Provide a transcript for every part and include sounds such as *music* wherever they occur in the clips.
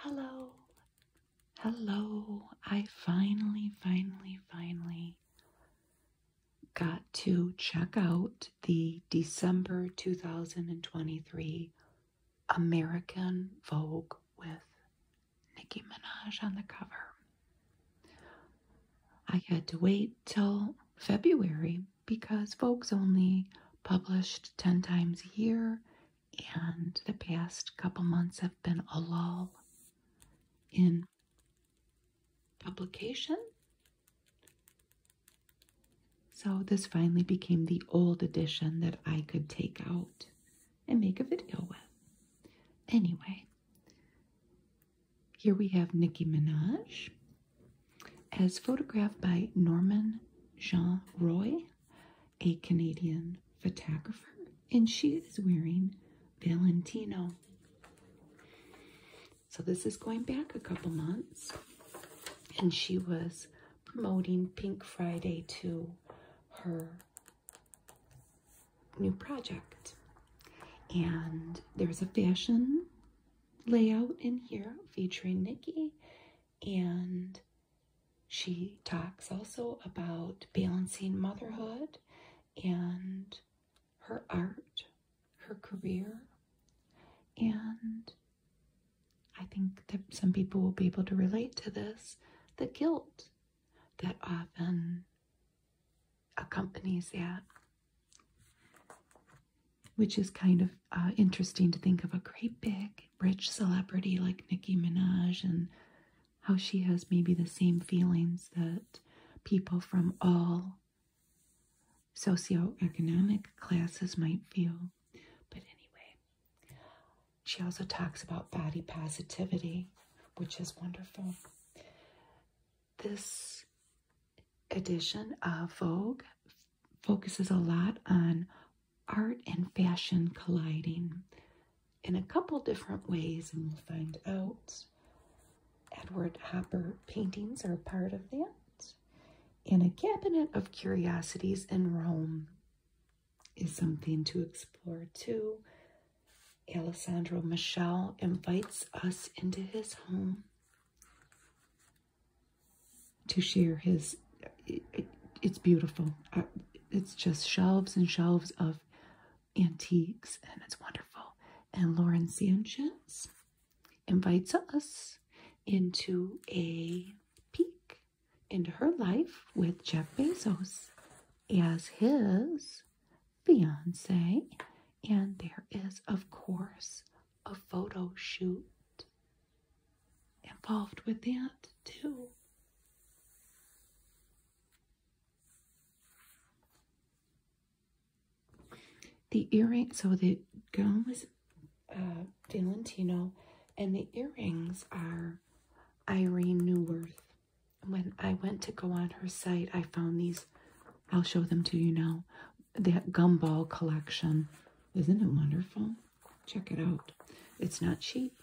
Hello, hello. I finally, finally, finally got to check out the December 2023 American Vogue with Nicki Minaj on the cover. I had to wait till February because Vogue's only published 10 times a year, and the past couple months have been a lull in publication. So, this finally became the old edition that I could take out and make a video with. Anyway, here we have Nicki Minaj as photographed by Norman Jean Roy a Canadian photographer, and she is wearing Valentino. So this is going back a couple months, and she was promoting Pink Friday to her new project. And there's a fashion layout in here featuring Nikki and she talks also about balancing motherhood and her art, her career, and I think that some people will be able to relate to this the guilt that often accompanies that, which is kind of uh, interesting to think of a great big rich celebrity like Nicki Minaj and how she has maybe the same feelings that people from all socioeconomic classes might feel. But anyway, she also talks about body positivity, which is wonderful. This edition of Vogue focuses a lot on art and fashion colliding in a couple different ways, and we'll find out. Edward Hopper paintings are part of that. And a cabinet of curiosities in Rome is something to explore too. Alessandro Michele invites us into his home to share his. it's beautiful. Uh, it's just shelves and shelves of antiques, and it's wonderful. And Lauren Sanchez invites us into a peek into her life with Jeff Bezos as his fiance. And there is, of course, a photo shoot involved with that too. The earrings, so the gown is uh, and the earrings are Irene Newworth. When I went to go on her site, I found these. I'll show them to you now. The gumball collection. Isn't it wonderful? Check it out. It's not cheap.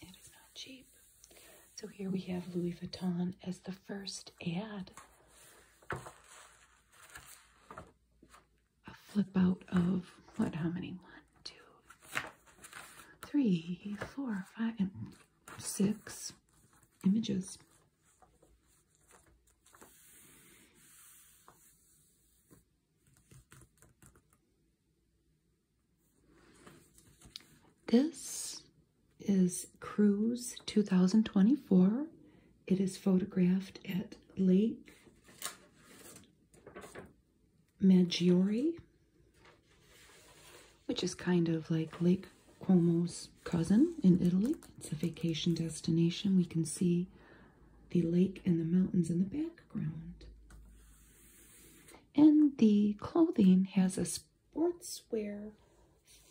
It is not cheap. So here we have Louis Vuitton as the first ad. A flip out of what? How many? One, two, three, four, five, and six images. This is Cruise 2024. It is photographed at Lake Maggiore, which is kind of like Lake Como's cousin in Italy. It's a vacation destination. We can see the lake and the mountains in the background. And the clothing has a sportswear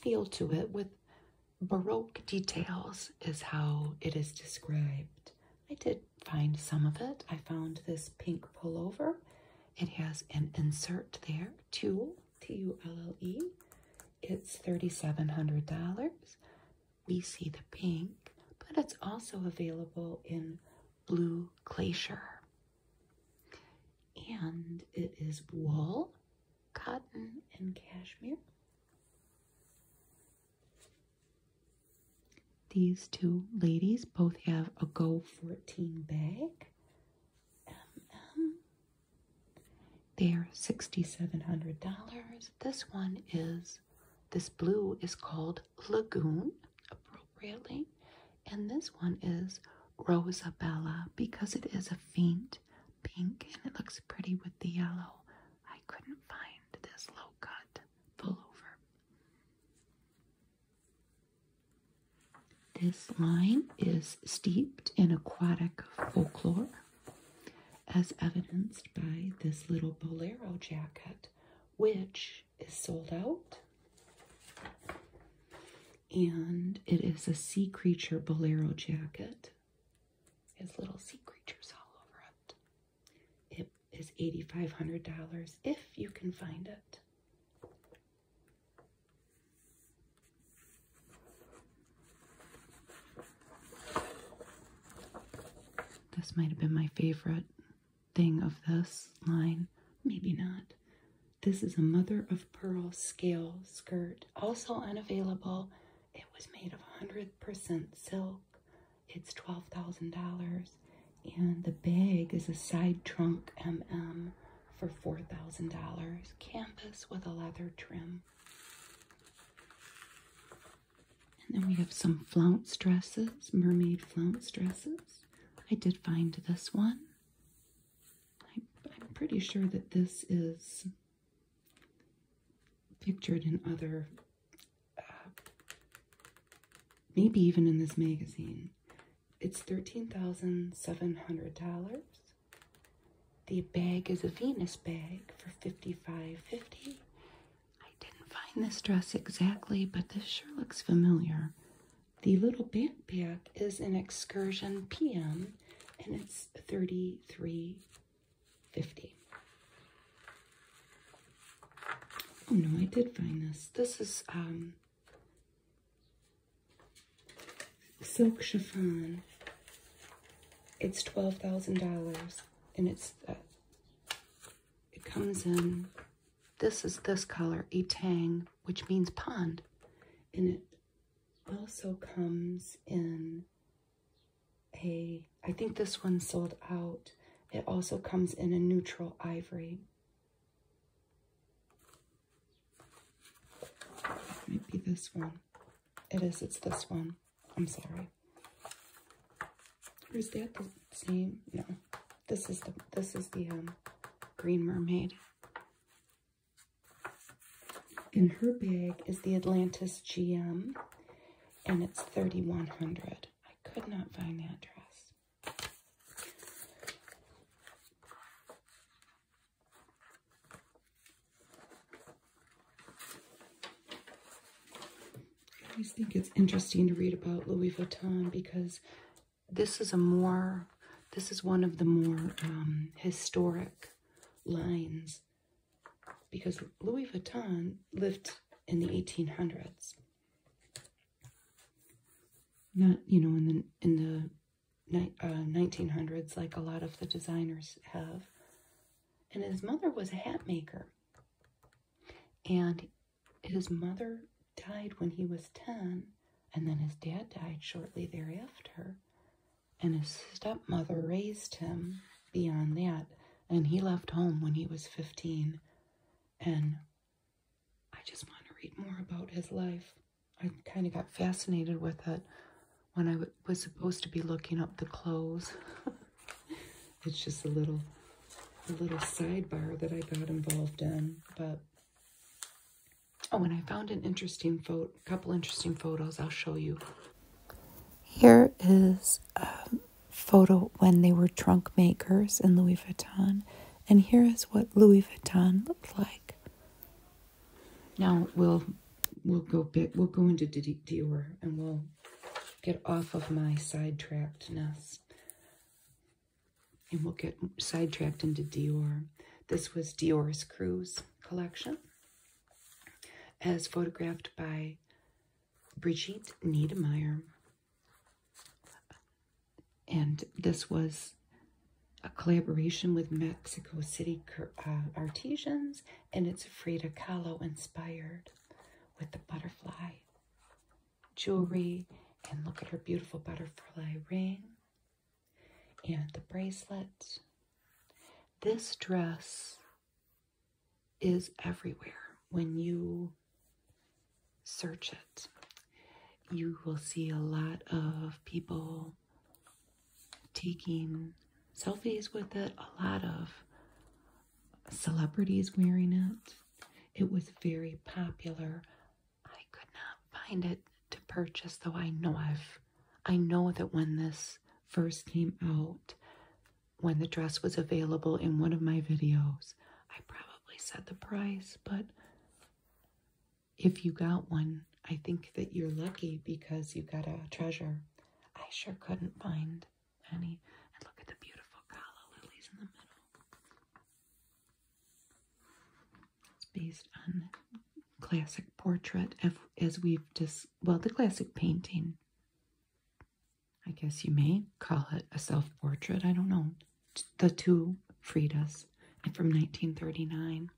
feel to it with Baroque details, is how it is described. I did find some of it. I found this pink pullover. It has an insert there, tulle, It's $3,700 we see the pink, but it's also available in blue glacier. And it is wool, cotton, and cashmere. These two ladies both have a Go 14 bag. They're $6,700. This one is this blue is called Lagoon, appropriately, and this one is Rosabella because it is a faint pink and it looks pretty with the yellow. I couldn't find this low cut pullover. This line is steeped in aquatic folklore, as evidenced by this little bolero jacket, which is sold out. And it is a sea creature bolero jacket. It has little sea creatures all over it. It is $8,500 if you can find it. This might have been my favorite thing of this line. Maybe not. This is a mother of pearl scale skirt, also unavailable. It was made of 100% silk. It's $12,000. And the bag is a side trunk MM for $4,000. Canvas with a leather trim. And then we have some flounce dresses, mermaid flounce dresses. I did find this one. I, am pretty sure that this is pictured in other, uh, maybe even in this magazine. It's $13,700. The bag is a Venus bag for $55.50. I didn't find this dress exactly, but this sure looks familiar. The little backpack is an Excursion PM and it's thirty-three fifty. dollars Oh no, I did find this. This is um, silk chiffon. It's $12,000 and it's uh, it comes in, this is this color, Itang, which means pond. And it also comes in a, I think this one sold out. It also comes in a neutral ivory. Might be this one. It is, it's this one. I'm sorry. Or is that the same? No. This is the this is the um, Green Mermaid. In her bag is the Atlantis GM, and it's thirty one hundred. I could not find that dress. I always think it's interesting to read about Louis Vuitton because this is a more, this is one of the more um, historic lines because Louis Vuitton lived in the 1800s. Not, you know, in the, in the 1900s uh, like a lot of the designers have. And his mother was a hat maker. And his mother died when he was 10, and then his dad died shortly thereafter. And his stepmother raised him beyond that, and he left home when he was 15. And I just want to read more about his life. I kind of got fascinated with it when I was supposed to be looking up the clothes. *laughs* *laughs* it's just a little a little sidebar that I got involved in. But oh, and I found an interesting photo, couple interesting photos. I'll show you. Here is a photo when they were trunk makers in Louis Vuitton, and here is what Louis Vuitton looked like. Now we'll we'll go bit we'll go into Dior and we'll get off of my sidetrackedness and we'll get sidetracked into Dior. This was Dior's Cruise collection, as photographed by Brigitte Niedermeyer. And this was a collaboration with Mexico City uh, artisans, and it's Frida Kahlo inspired with the butterfly jewelry and look at her beautiful butterfly ring and the bracelet. This dress is everywhere when you search it. You will see a lot of people taking selfies with it, a lot of celebrities wearing it. It was very popular. I could not find it to purchase, though I know I've I know that when this first came out, when the dress was available in one of my videos, I probably set the price, but if you got one, I think that you're lucky because you got a treasure. I sure couldn't find and, and look at the beautiful calla lilies in the middle. It's based on classic portrait of, as we've just, well, the classic painting. I guess you may call it a self-portrait. I don't know. The two freed and from 1939.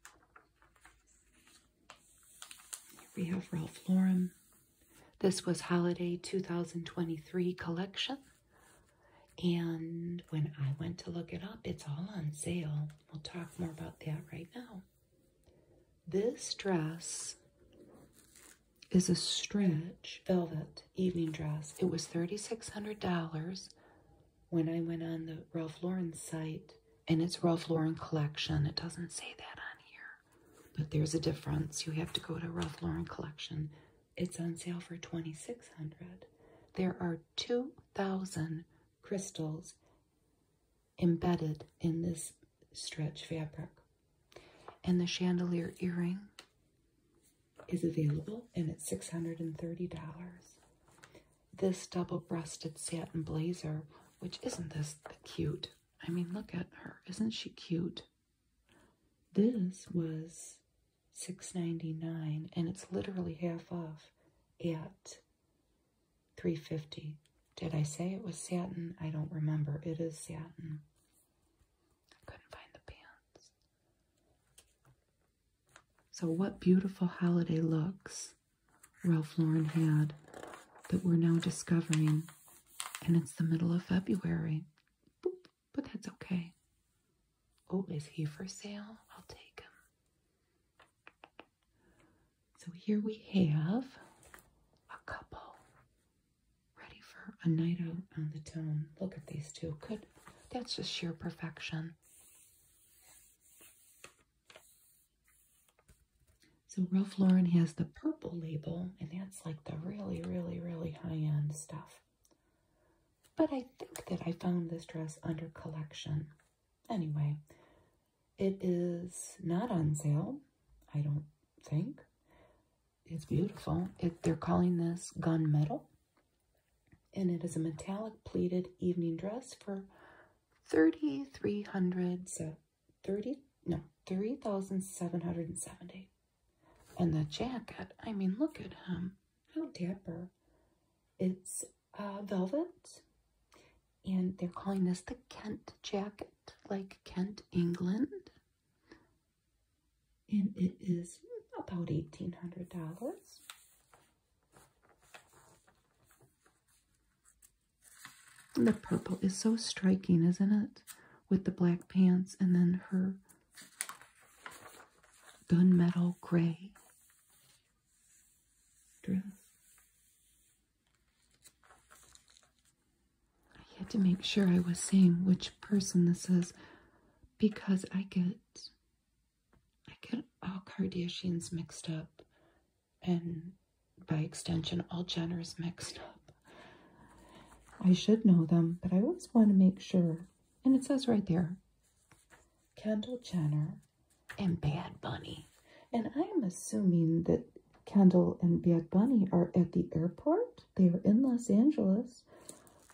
Here we have Ralph Lauren. This was holiday 2023 collection. And when I went to look it up, it's all on sale. We'll talk more about that right now. This dress is a stretch velvet evening dress. It was $3,600 when I went on the Ralph Lauren site, and it's Ralph Lauren collection. It doesn't say that on here, but there's a difference. You have to go to Ralph Lauren collection it's on sale for $2,600. There are 2,000 crystals embedded in this stretch fabric. And the chandelier earring is available and it's $630. This double-breasted satin blazer, which isn't this cute? I mean, look at her. Isn't she cute? This was 6.99 and it's literally half off at 3.50. Did I say it was satin? I don't remember. It is satin. I couldn't find the pants. So what beautiful holiday looks Ralph Lauren had that we're now discovering and it's the middle of February but that's okay. Oh, is he for sale? I'll take him. So here we have a couple ready for a night out on the town. Look at these two. Could That's just sheer perfection. So Ralph Lauren has the purple label, and that's like the really, really, really high-end stuff. But I think that I found this dress under collection. Anyway, it is not on sale, I don't think. It's beautiful. they're calling this gunmetal. And it is a metallic pleated evening dress for 3,300, so 30, no, 3,770. And the jacket, I mean, look at him. How dapper. It's uh, velvet. And they're calling this the Kent jacket, like Kent, England. And it is about $1,800. The purple is so striking, isn't it? With the black pants and then her gunmetal gray dress. I had to make sure I was saying which person this is because I get I get all Kardashians mixed up and by extension all Jenners mixed up. I should know them, but I always want to make sure and it says right there Kendall Jenner and Bad Bunny. And I'm assuming that Kendall and Bad Bunny are at the airport. They are in Los Angeles.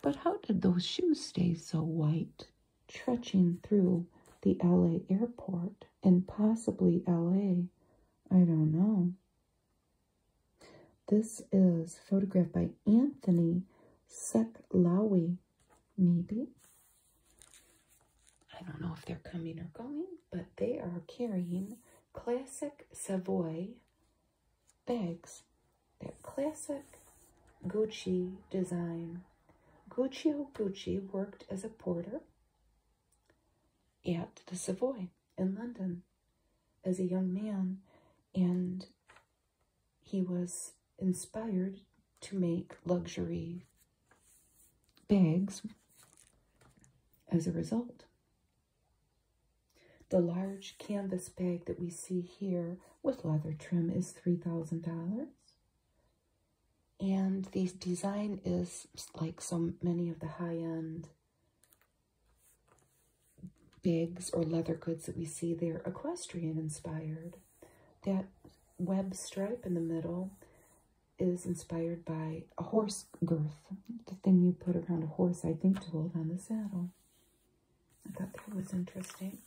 But how did those shoes stay so white, trudging through the LA airport and possibly LA? I don't know. This is photographed by Anthony Seklawi, maybe. I don't know if they're coming or going, but they are carrying classic Savoy bags. That classic Gucci design. Guccio oh, Gucci worked as a porter at the Savoy in London as a young man, and he was inspired to make luxury bags as a result. The large canvas bag that we see here with leather trim is $3,000. And the design is like so many of the high-end Bigs or leather goods that we see, they're equestrian inspired. That web stripe in the middle is inspired by a horse girth, the thing you put around a horse, I think, to hold on the saddle. I thought that was interesting.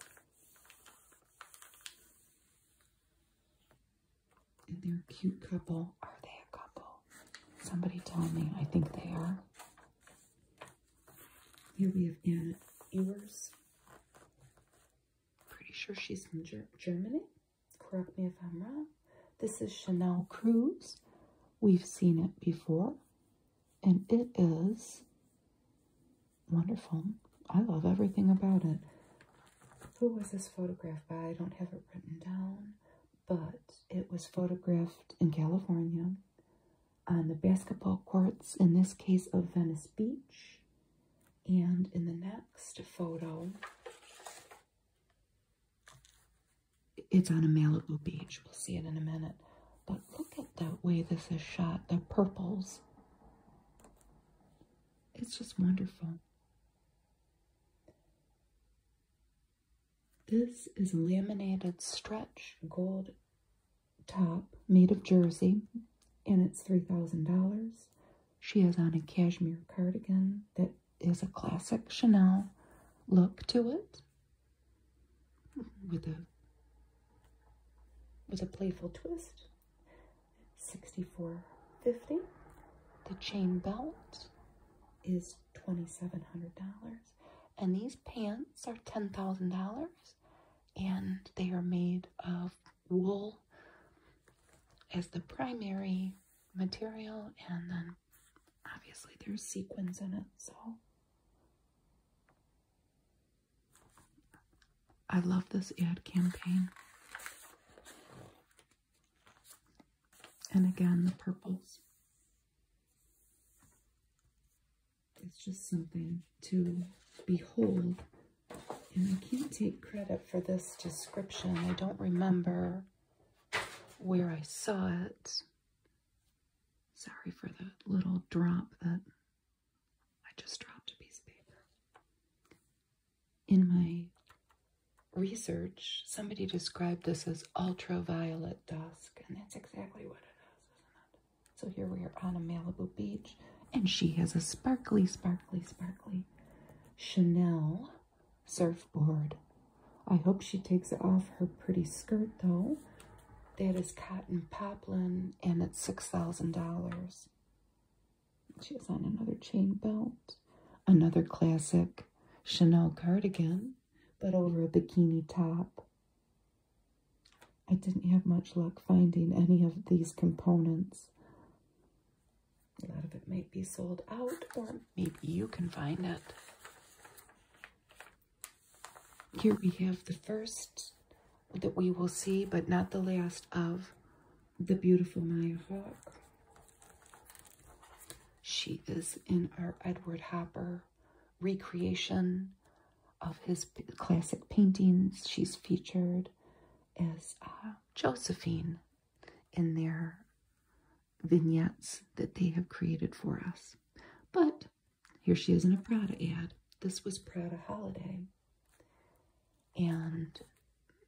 And they're a cute couple. Are they a couple? Somebody tell me. I think they are. Here we have Anna Ewers. Pretty sure she's from Germany. Correct me if I'm wrong. This is Chanel Cruz. We've seen it before. And it is wonderful. I love everything about it. Who was this photograph by? I don't have it written down. But it was photographed in California on the basketball courts, in this case of Venice Beach. And in the next photo, it's on a Malibu beach. We'll see it in a minute. But look at the way this is shot, the purples. It's just wonderful. This is laminated stretch gold top made of jersey, and it's $3,000. She has on a cashmere cardigan that is a classic Chanel look to it with a with a playful twist. 64.50. The chain belt is $2700 and these pants are $10,000 and they are made of wool as the primary material, and then obviously there's sequins in it, so. I love this ad campaign. And again, the purples it's just something to behold. And I can't take credit for this description. I don't remember where I saw it. Sorry for the little drop that I just dropped a piece of paper. In my research, somebody described this as ultraviolet dusk, and that's exactly what it is, isn't it? So here we are on a Malibu beach, and she has a sparkly, sparkly, sparkly Chanel surfboard. I hope she takes it off her pretty skirt though. That is cotton poplin, and it's $6,000. She has on another chain belt, another classic Chanel cardigan, but over a bikini top. I didn't have much luck finding any of these components. A lot of it might be sold out, or maybe you can find it. Here we have the first that we will see, but not the last of the beautiful Maya Hawk. She is in our Edward Hopper recreation of his classic paintings. She's featured as uh, Josephine in their vignettes that they have created for us. But here she is in a Prada ad. This was Prada Holiday. And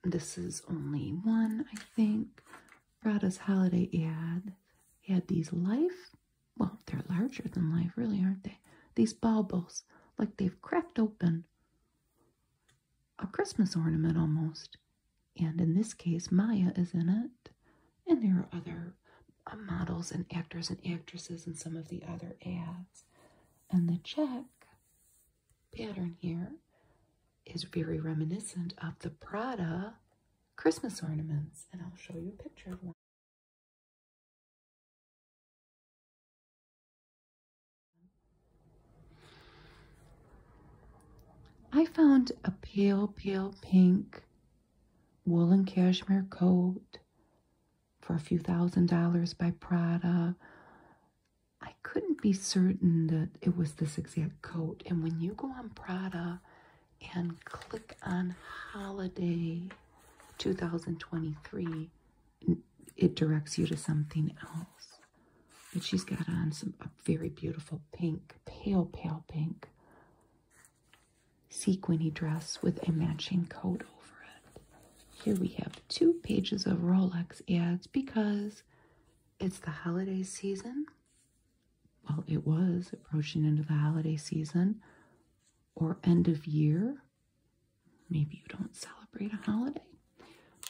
this is only one, I think. Prada's Holiday ad had these life well, they're larger than life, really, aren't they? These baubles, like they've cracked open a Christmas ornament almost. And in this case, Maya is in it. And there are other uh, models and actors and actresses in some of the other ads. And the check pattern here is very reminiscent of the Prada Christmas ornaments. And I'll show you a picture of one. I found a pale, pale pink woolen cashmere coat for a few thousand dollars by Prada. I couldn't be certain that it was this exact coat. And when you go on Prada and click on holiday, 2023, it directs you to something else. But she's got on some very beautiful pink, pale, pale pink sequiny dress with a matching coat over it. Here we have two pages of Rolex ads because it's the holiday season. Well, it was approaching into the holiday season or end of year Maybe you don't celebrate a holiday,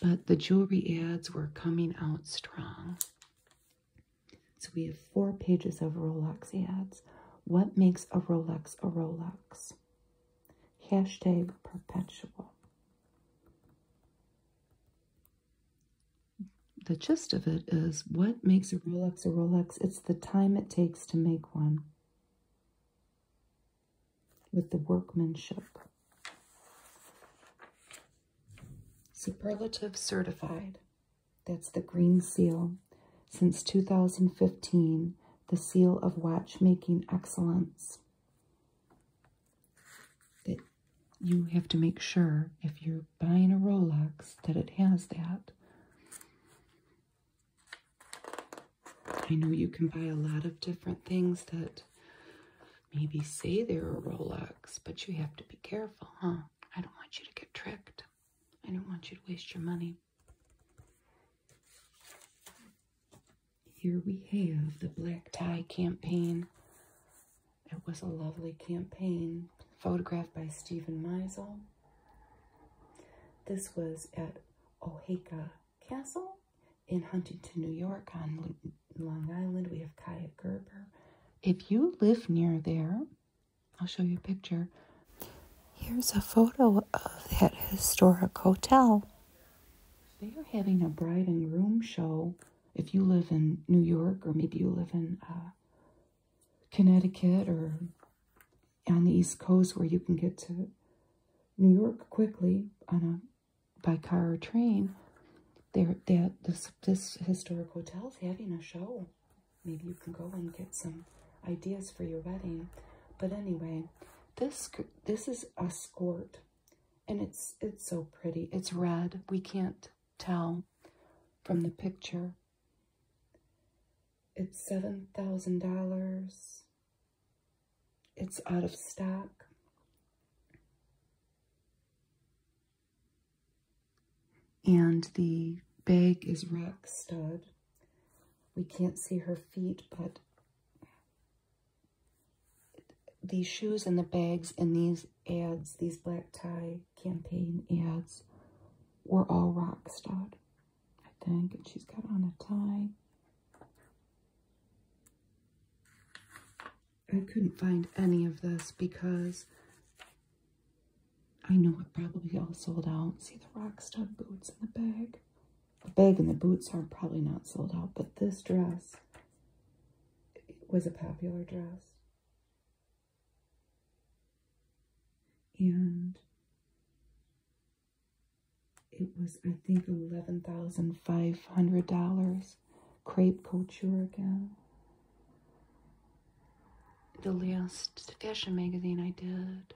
but the jewelry ads were coming out strong. So we have four pages of Rolex ads. What makes a Rolex a Rolex? Hashtag perpetual. The gist of it is what makes a Rolex a Rolex? It's the time it takes to make one with the workmanship. Superlative certified. That's the green seal. Since 2015, the seal of watchmaking excellence. That you have to make sure if you're buying a Rolex that it has that. I know you can buy a lot of different things that maybe say they're a Rolex, but you have to be careful, huh? I don't want you to get tricked. I don't want you to waste your money. Here we have the black tie campaign. It was a lovely campaign, photographed by Stephen Meisel. This was at Ohaka Castle in Huntington, New York on Long Island. We have Kaya Gerber. If you live near there, I'll show you a picture. Here's a photo of that historic hotel. They are having a bride and groom show. If you live in New York or maybe you live in uh, Connecticut or on the East Coast where you can get to New York quickly on a by car or train, there that this this historic hotel's having a show. Maybe you can go and get some ideas for your wedding. But anyway, this this is a skirt, and it's it's so pretty. It's red. We can't tell from the picture. It's seven thousand dollars. It's out of stock. And the bag is rock stud. We can't see her feet, but these shoes and the bags and these ads, these black tie campaign ads, were all rock stud. I think, and she's got on a tie. I couldn't find any of this because I know it probably all sold out. See the Rockstar boots in the bag? The bag and the boots are probably not sold out, but this dress was a popular dress. And it was I think eleven thousand five hundred dollars crepe couture again. The last fashion magazine I did,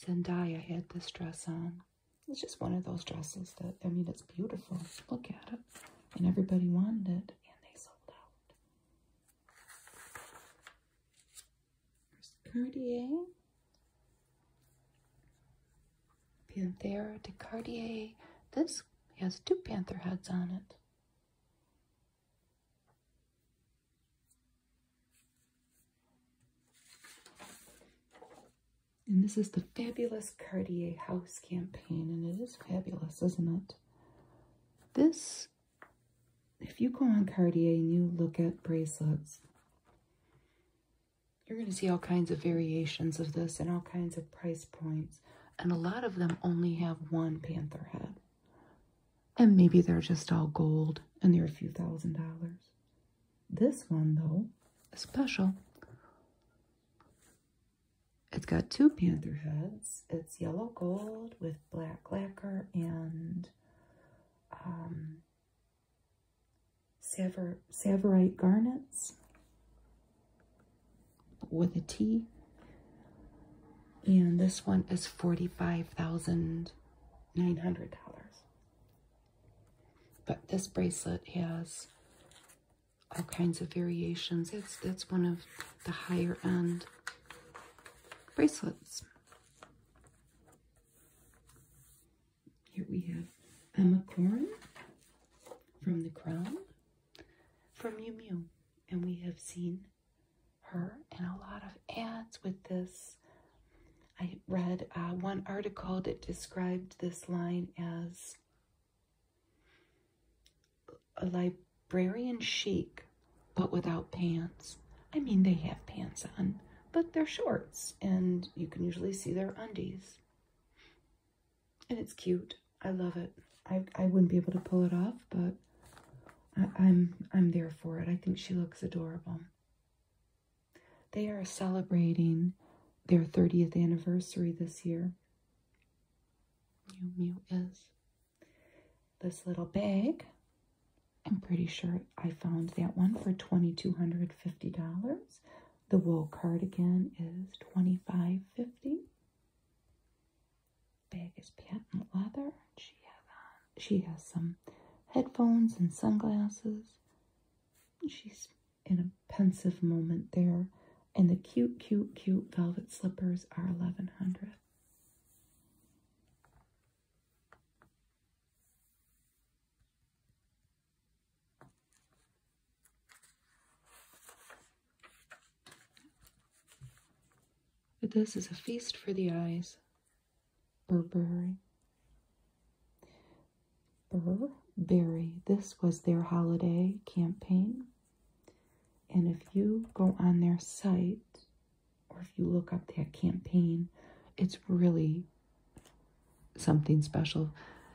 Zendaya had this dress on. It's just one of those dresses that I mean it's beautiful. Look at it, and everybody wanted it, and they sold out. There's Cartier. Panthera de Cartier. This has two panther heads on it. And this is the fabulous Cartier House campaign, and it is fabulous, isn't it? This if you go on Cartier and you look at bracelets, you're going to see all kinds of variations of this and all kinds of price points. And a lot of them only have one panther head. And maybe they're just all gold and they're a few thousand dollars. This one, though, is special. It's got two panther heads. It's yellow gold with black lacquer and um, Saver, Garnets with a T. And this one is $45,900. But this bracelet has all kinds of variations. It's that's one of the higher end bracelets. Here we have Emma Corrin from The Crown from Mew And we have seen her in a lot of ads with this. I read uh, one article that described this line as a librarian chic but without pants. I mean, they have pants on, but they're shorts, and you can usually see their undies. And it's cute. I love it. I, I wouldn't be able to pull it off, but I, am I'm there for it. I think she looks adorable. They are celebrating their 30th anniversary this year. Mew Mew is. This little bag I'm pretty sure I found that one for $2,250. The wool cardigan is $25.50. Bag is patent leather. She has, she has some headphones and sunglasses. She's in a pensive moment there. And the cute, cute, cute velvet slippers are $1,100 this is a feast for the eyes. Burberry. Burberry. This was their holiday campaign. And if you go on their site, or if you look up that campaign, it's really something special.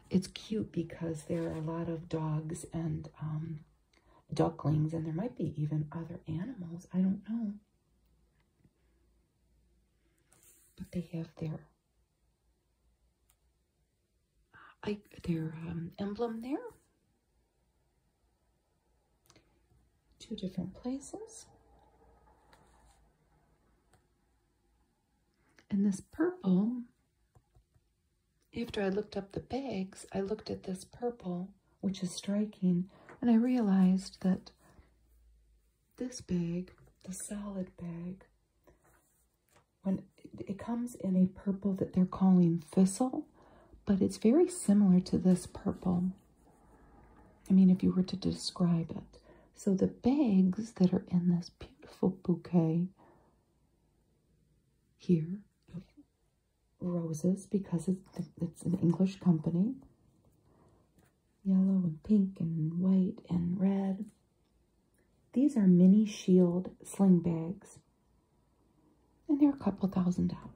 It's cute because there are a lot of dogs and um, ducklings, and there might be even other animals. I don't know. But they have their I, their um, emblem there two different places. And this purple, after I looked up the bags, I looked at this purple, which is striking, and I realized that this bag, the salad bag, when it comes in a purple that they're calling thistle, but it's very similar to this purple. I mean, if you were to describe it. So the bags that are in this beautiful bouquet here roses, because it's an English company, yellow and pink and white and red. These are mini shield sling bags, and they're a couple thousand dollars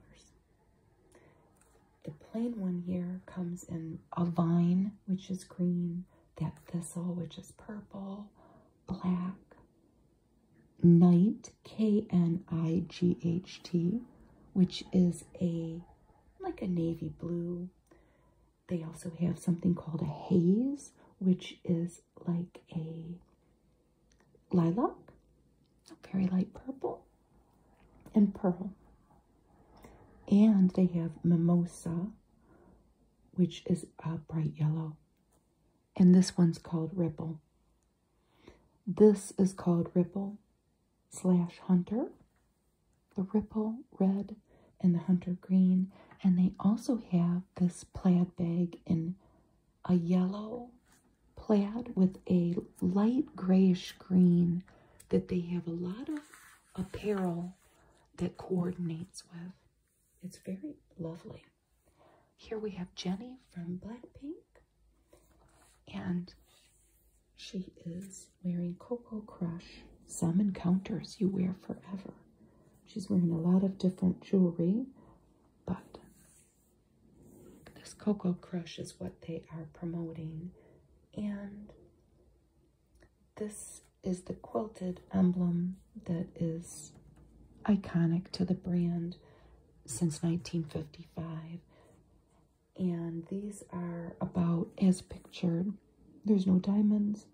the plain one here comes in a vine, which is green, that thistle, which is purple, black, night, K-N-I-G-H-T, which is a like a navy blue. They also have something called a haze, which is like a lilac, very light purple and pearl. And they have mimosa, which is a bright yellow. And this one's called ripple. This is called ripple slash hunter. The ripple red and the hunter green. And they also have this plaid bag in a yellow plaid with a light grayish green that they have a lot of apparel that coordinates with. It's very lovely. Here we have Jenny from Blackpink, and she is wearing Coco Crush. Some encounters you wear forever. She's wearing a lot of different jewelry, but this Coco Crush is what they are promoting, and this is the quilted emblem that is iconic to the brand since 1955. And these are about as pictured. There's no diamonds.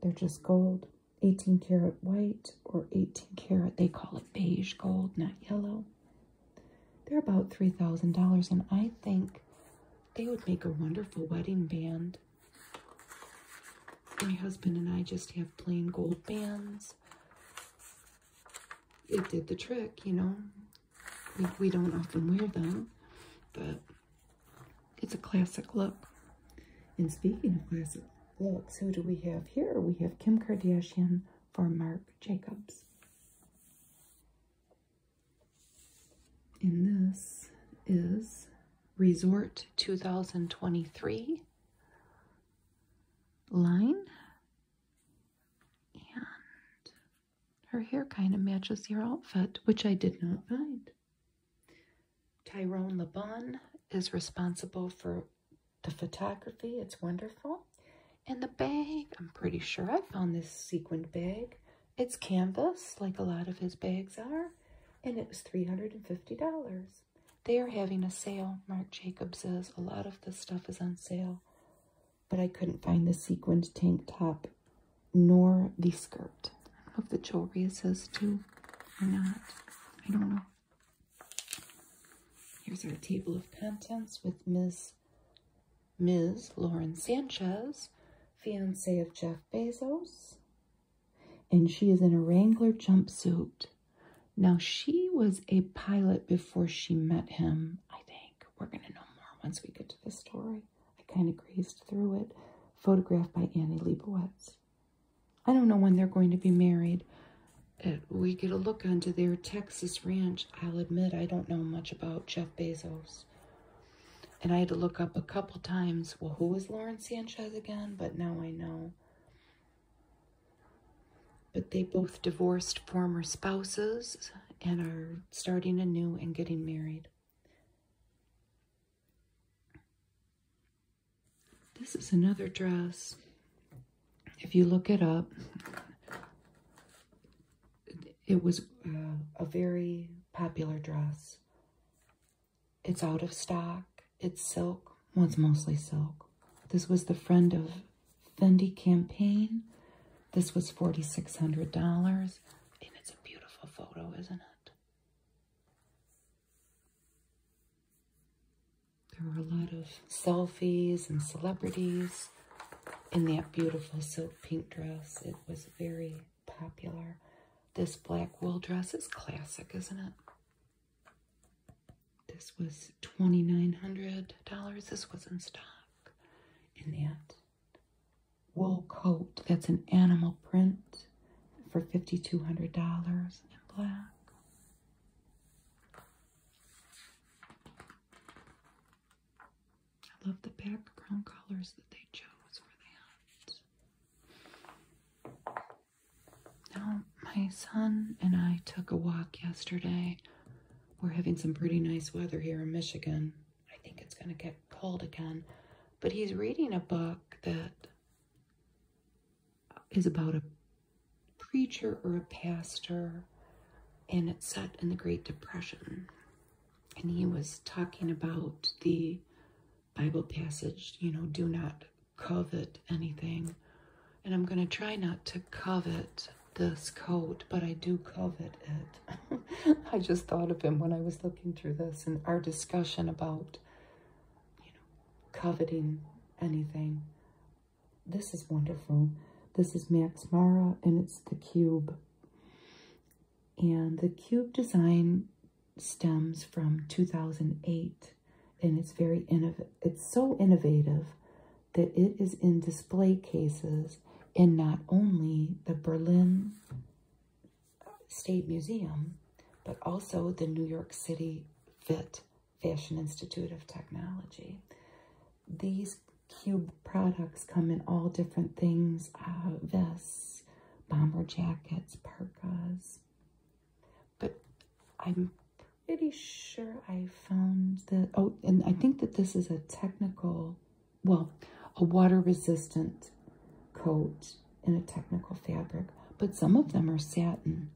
They're just gold. 18 karat white or 18 karat, they call it beige gold, not yellow. They're about $3,000 and I think they would make a wonderful wedding band. My husband and I just have plain gold bands. It did the trick, you know. We, don't often wear them, but it's a classic look. And speaking of classic looks, who do we have here? We have Kim Kardashian for Marc Jacobs. And this is Resort 2023 line. And her hair kind of matches your outfit, which I did not find. Tyrone LeBon is responsible for the photography. It's wonderful. And the bag, I'm pretty sure I found this sequined bag. It's canvas, like a lot of his bags are, and it was $350. They are having a sale, Marc Jacobs says. A lot of the stuff is on sale, but I couldn't find the sequined tank top nor the skirt. I don't know if the jewelry is his too or not. I don't know. Here's our table of contents with Ms. Ms. Lauren Sanchez, fiance of Jeff Bezos. And she is in a Wrangler jumpsuit. Now, she was a pilot before she met him, I think. We're going to know more once we get to this story. I kind of grazed through it. Photographed by Annie Leibovitz. I don't know when they're going to be married. We get a look onto their Texas ranch. I'll admit I don't know much about Jeff Bezos. And I had to look up a couple times, well, who was Lauren Sanchez again? But now I know. But they both divorced former spouses and are starting anew and getting married. This is another dress. If you look it up, it was uh, a very popular dress. It's out of stock. It's silk. Well, it's mostly silk. This was the friend of Fendi campaign. This was $4,600. And it's a beautiful photo, isn't it? There were a lot of selfies and celebrities in that beautiful silk pink dress. It was very popular. This black wool dress is classic, isn't it? This was $2,900. This was in stock. And that wool coat that's an animal print for $5,200 in black. I love the background colors that they chose for that. Now, my son and I took a walk yesterday. We're having some pretty nice weather here in Michigan. I think it's going to get cold again. But he's reading a book that is about a preacher or a pastor, and it's set in the Great Depression and he was talking about the Bible passage, you know, do not covet anything. And I'm going to try not to covet this coat, but I do covet it. *laughs* I just thought of him when I was looking through this and our discussion about, you know, coveting anything. This is wonderful. This is Max Mara and it's the cube. And the cube design stems from 2008 and it's very innov it's so innovative that it is in display cases in not only the Berlin State Museum but also the New York City FIT Fashion Institute of Technology. These cube products come in all different things, uh, vests, bomber jackets, parkas. But I'm pretty sure I found that. Oh, and I think that this is a technical, well, a water resistant coat in a technical fabric, but some of them are satin.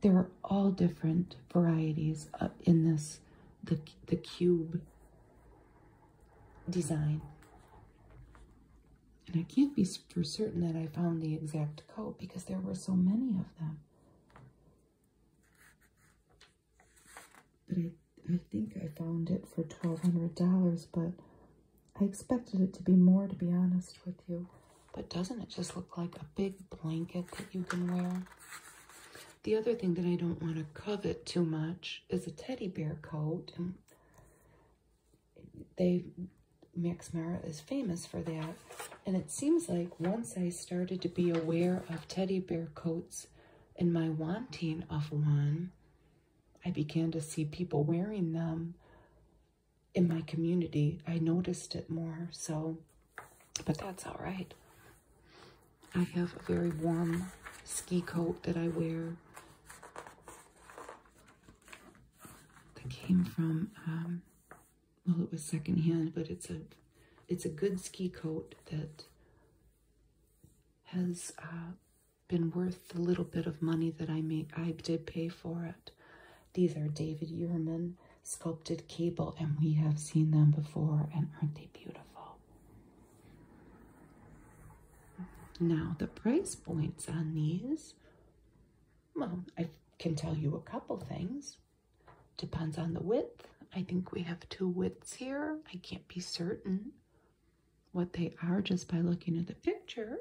There are all different varieties uh, in this, the, the cube design. And I can't be for certain that I found the exact coat because there were so many of them. But I, think I found it for $1,200, but I expected it to be more, to be honest with you. But doesn't it just look like a big blanket that you can wear? The other thing that I don't want to covet too much is a teddy bear coat they Max Mara is famous for that. And it seems like once I started to be aware of teddy bear coats and my wanting of one, I began to see people wearing them in my community. I noticed it more, so, but that's all right. I have a very warm ski coat that I wear that came from um, well it was secondhand but it's a it's a good ski coat that has uh, been worth the little bit of money that I made I did pay for it these are David Yurman sculpted cable and we have seen them before and aren't they beautiful now, the price points on these, well, I can tell you a couple things. Depends on the width. I think we have two widths here. I can't be certain what they are just by looking at the picture,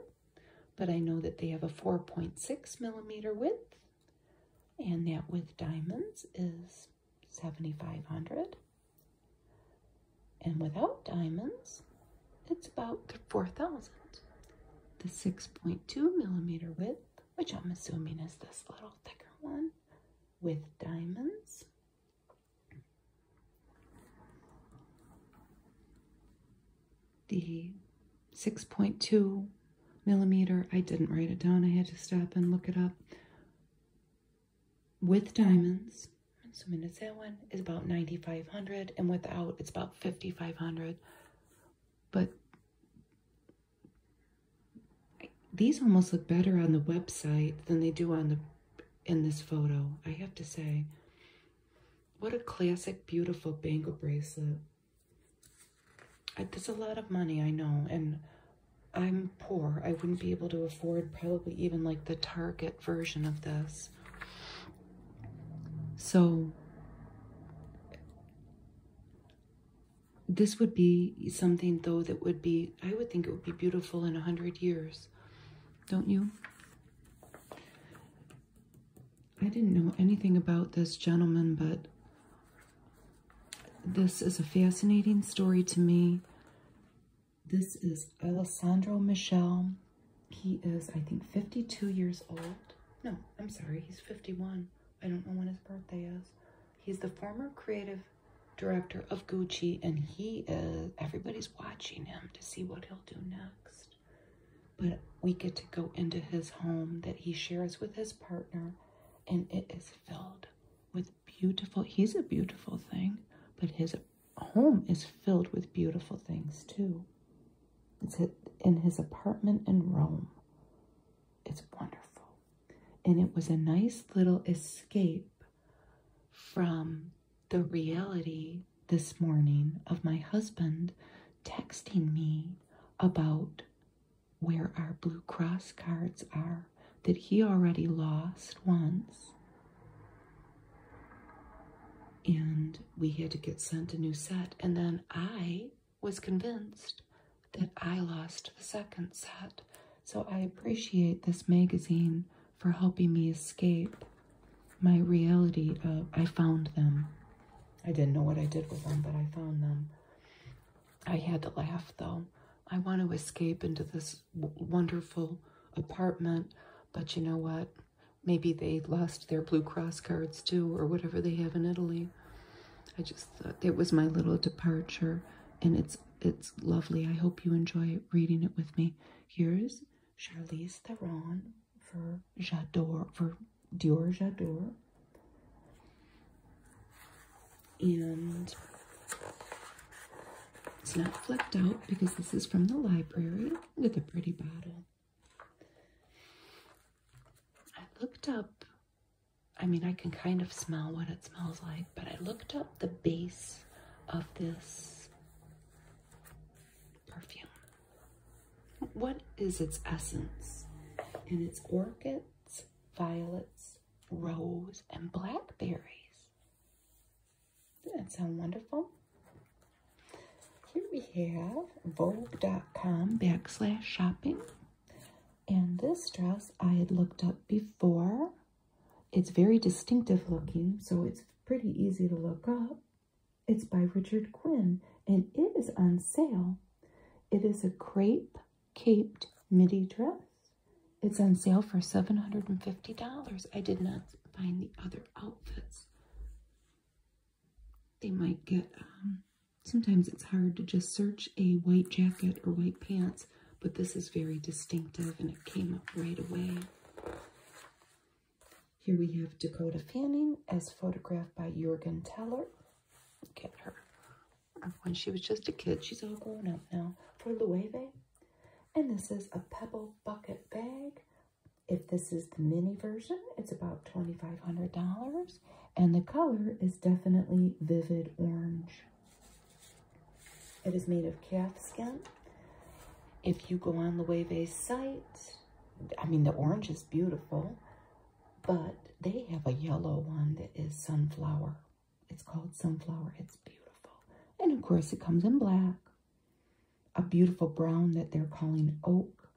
but I know that they have a 4.6 millimeter width, and that with diamonds is 7,500. And without diamonds, it's about 4,000. The 6.2 millimeter width, which I'm assuming is this little thicker one, with diamonds. The 6.2 millimeter, I didn't write it down, I had to stop and look it up, with diamonds. So I'm gonna that one is about 9,500 and without it's about 5,500. But these almost look better on the website than they do on the in this photo. I have to say, what a classic, beautiful bangle bracelet. that's a lot of money, I know, and I'm poor. I wouldn't be able to afford probably even like the Target version of this. So, this would be something though that would be, I would think it would be beautiful in a hundred years. Don't you? I didn't know anything about this gentleman, but this is a fascinating story to me. This is Alessandro Michel. He is, I think, 52 years old. No, I'm sorry, he's 51. I don't know when his birthday is. He's the former creative director of Gucci, and he is, everybody's watching him to see what he'll do next. But we get to go into his home that he shares with his partner, and it is filled with beautiful, he's a beautiful thing, but his home is filled with beautiful things too. It's in his apartment in Rome. It's wonderful. And it was a nice little escape from the reality this morning of my husband texting me about where our Blue Cross cards are that he already lost once and we had to get sent a new set. And then I was convinced that I lost the second set. So I appreciate this magazine for helping me escape my reality I found them. I didn't know what I did with them, but I found them. I had to laugh though. I want to escape into this wonderful apartment, but you know what? maybe they lost their Blue Cross cards too, or whatever they have in Italy. I just thought it was my little departure, and it's it's lovely. I hope you enjoy reading it with me. Here's Charlize Theron for J'adore for Dior J'adore. And it's not flipped out because this is from the library with a pretty bottle. I looked up, I mean, I can kind of smell what it smells like, but I looked up the base of this perfume. What is its essence? And it's orchids, violets, rose, and blackberries that sound wonderful? Here we have Vogue.com backslash shopping. And this dress I had looked up before. It's very distinctive looking, so it's pretty easy to look up. It's by Richard Quinn, and it is on sale. It is a crepe caped midi dress. It's on sale for $750. I did not find the other outfits they might get, um, sometimes it's hard to just search a white jacket or white pants, but this is very distinctive and it came up right away. Here we have Dakota Fanning as photographed by Jurgen Teller. Look at her. When she was just a kid, she's all grown up now for Loewe. And this is a pebble bucket bag if this is the mini version, it's about $2,500 and the color is definitely vivid orange. It is made of calf skin. If you go on the Loewe's site, I mean, the orange is beautiful, but they have a yellow one that is sunflower. It's called sunflower. It's beautiful. And of course, it comes in black a beautiful brown that they're calling oak,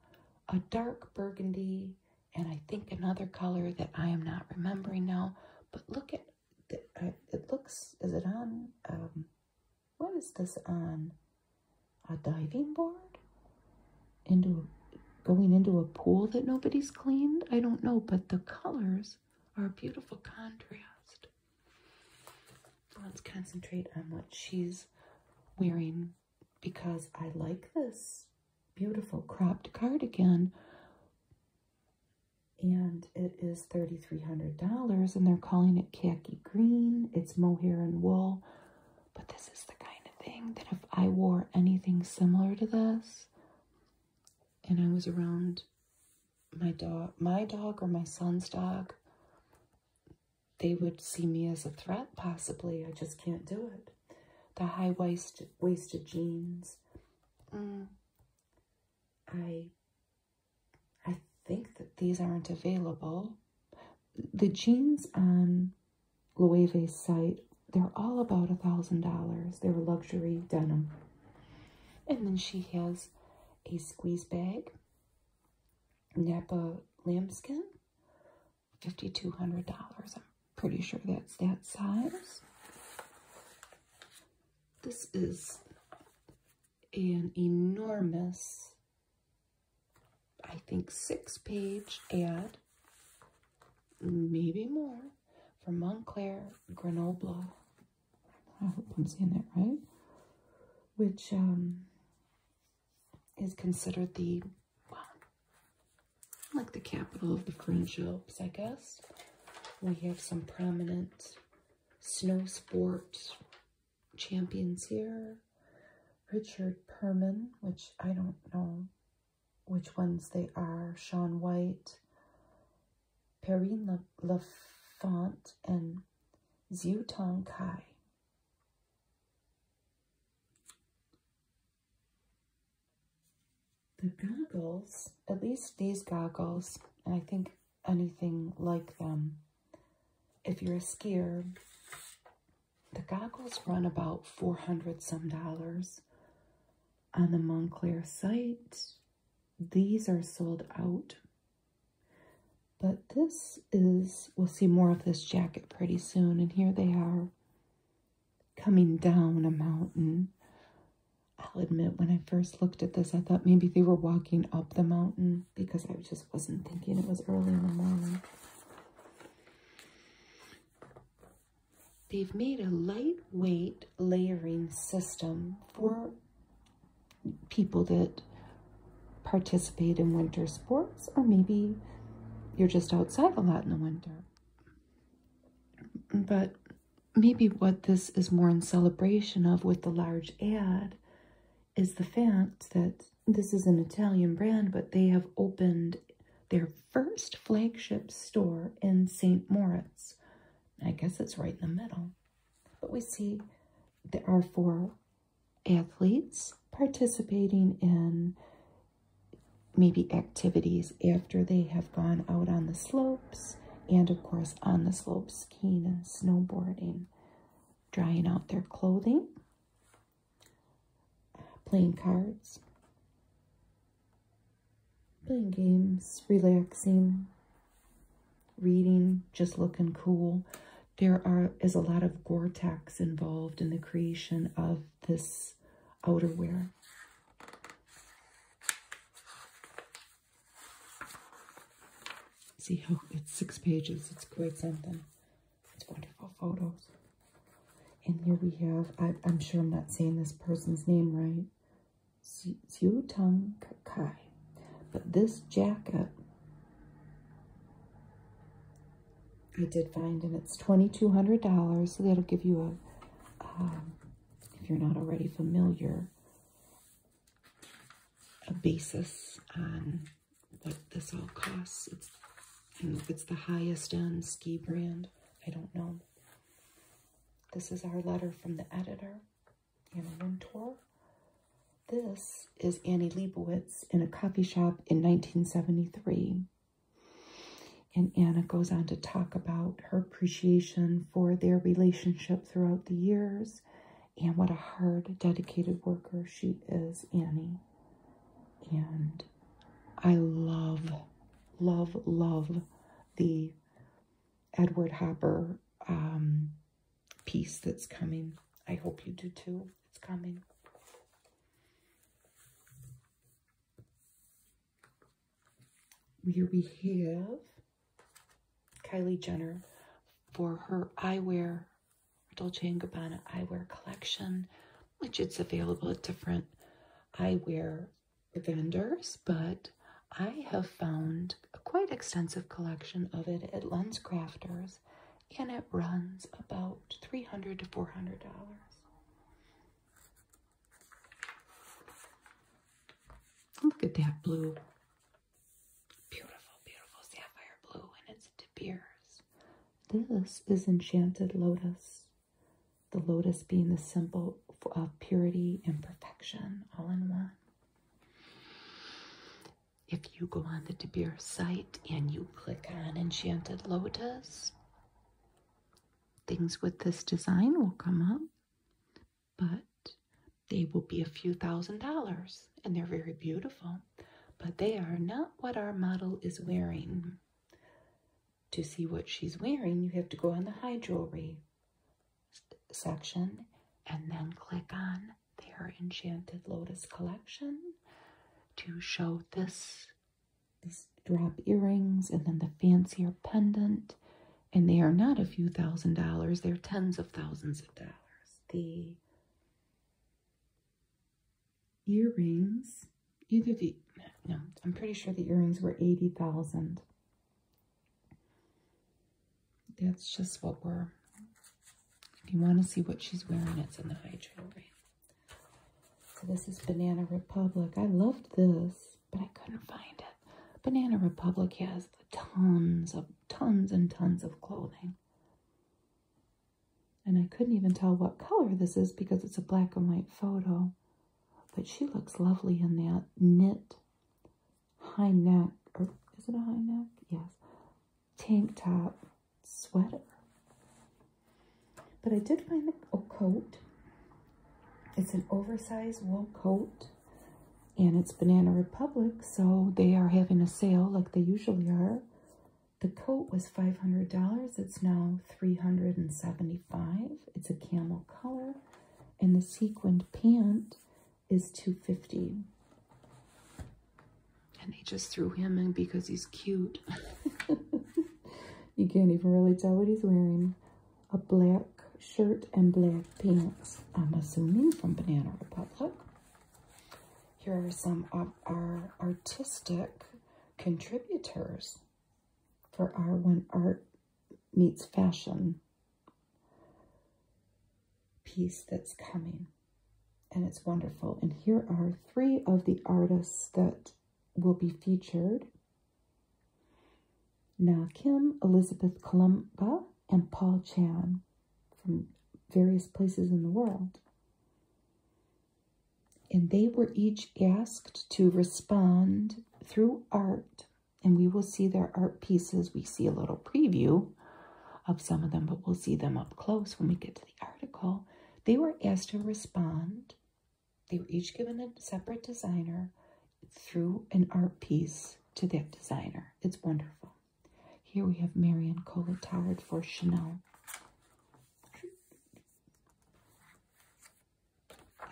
a dark burgundy, and I think another color that I am not remembering now. But look at uh, it looks, is it on, um, what is this on? A diving board? Into going into a pool that nobody's cleaned? I don't know, but the colors are a beautiful contrast. Let's concentrate on what she's wearing because I like this beautiful cropped cardigan. And it is $3,300 and they're calling it khaki green. It's mohair and wool. But this is the kind of thing that if I wore anything similar to this and I was around my dog, my dog or my son's dog, they would see me as a threat, possibly. I just can't do it. The high waist waisted jeans. Mm. I I think that these aren't available. The jeans on Loewe's site, they're all about a thousand dollars. They're luxury denim. And then she has a squeeze bag Napa lambskin, $5,200. I'm pretty sure that's that size. This is an enormous, I think, six-page ad, maybe more, from Montclair Grenoble. I hope I'm seeing it right. Which, um, is considered the, like the capital of the French Alps, I guess. We have some prominent snow sports champions here. Richard Perman, which I don't know which ones they are. Sean White, Perrine Lafont, and Xiu Tong Kai. The goggles, at least these goggles, and I think anything like them, if you're a skier, the goggles run about 400 some dollars on the Montclair site. These are sold out but this is, we'll see more of this jacket pretty soon. And here they are coming down a mountain. I'll admit, when I first looked at this, I thought maybe they were walking up the mountain because I just wasn't thinking it was early in the morning. They've made a lightweight layering system for people that participate in winter sports, or maybe you're just outside a lot in the winter. But maybe what this is more in celebration of with the large ad is the fact that this is an Italian brand, but they have opened their first flagship store in St. Moritz. I guess it's right in the middle. But we see there are four athletes participating in maybe activities after they have gone out on the slopes and of course on the slopes skiing and snowboarding drying out their clothing playing cards playing games relaxing reading just looking cool there are is a lot of Gore-Tex involved in the creation of this outerwear. See how it's six pages. It's quite something. It's wonderful photos. And here we have, I, am sure I'm not saying this person's name right, Xiu Tong Kai. But this jacket I did find, and it's $2,200. So that'll give you a, um, if you're not already familiar, a basis on what this all costs. It's, the highest end ski brand. I don't know. This is our letter from the editor in one twelve. This is Annie Liebowitz in a coffee shop in 1973. And Anna goes on to talk about her appreciation for their relationship throughout the years and what a hard, dedicated worker she is, Annie. And I love, love, love the Edward Hopper um, peace that's coming. I hope you do too. It's coming. Here we have Kylie Jenner for her eyewear, Dolce & Gabbana eyewear collection, which it's available at different eyewear vendors, but I have found a quite extensive collection of it at Lens Crafters and it runs about $300 to $400. Look at that blue. Beautiful, beautiful sapphire blue, and it's De This is Enchanted Lotus. The lotus being the symbol of purity and perfection all in one if you go on the DeBeers site and you click on Enchanted Lotus, things with this design will come up, but they will be a few thousand dollars and they're very beautiful, but they are not what our model is wearing. To see what she's wearing, you have to go on the high jewelry section and then click on their Enchanted Lotus collection to show this these drop earrings and then the fancier pendant and they are not a few thousand dollars they're tens of thousands of dollars the earrings either the no i'm pretty sure the earrings were 80,000 that's just what we're if you want to see what she's wearing, it's in the high trail brand. So this is Banana Republic. I loved this, but I couldn't find it. Banana Republic has tons of tons and tons of clothing. And I couldn't even tell what color this is because it's a black and white photo. But she looks lovely in that knit high neck, or is it a high neck? Yes. Tank top sweater. But I did find a coat. It's an oversized wool coat. And it's Banana Republic, so they are having a sale like they usually are. The coat was $500. It's now $375. It's a camel color. And the sequined pant is $250. And they just threw him in because he's cute. *laughs* you can't even really tell what he's wearing. A black shirt and black pants. I'm assuming from Banana Republic. Here are some of our artistic contributors for our When Art Meets Fashion piece that's coming and it's wonderful. And here are three of the artists that will be featured. Na Kim, Elizabeth Columba, and Paul Chan from various places in the world. And they were each asked to respond through art. And we will see their art pieces. We see a little preview of some of them, but we'll see them up close when we get to the article, they were asked to respond. They were each given a separate designer through an art piece to that designer. It's wonderful. Here we have Marion Cola Towered for Chanel.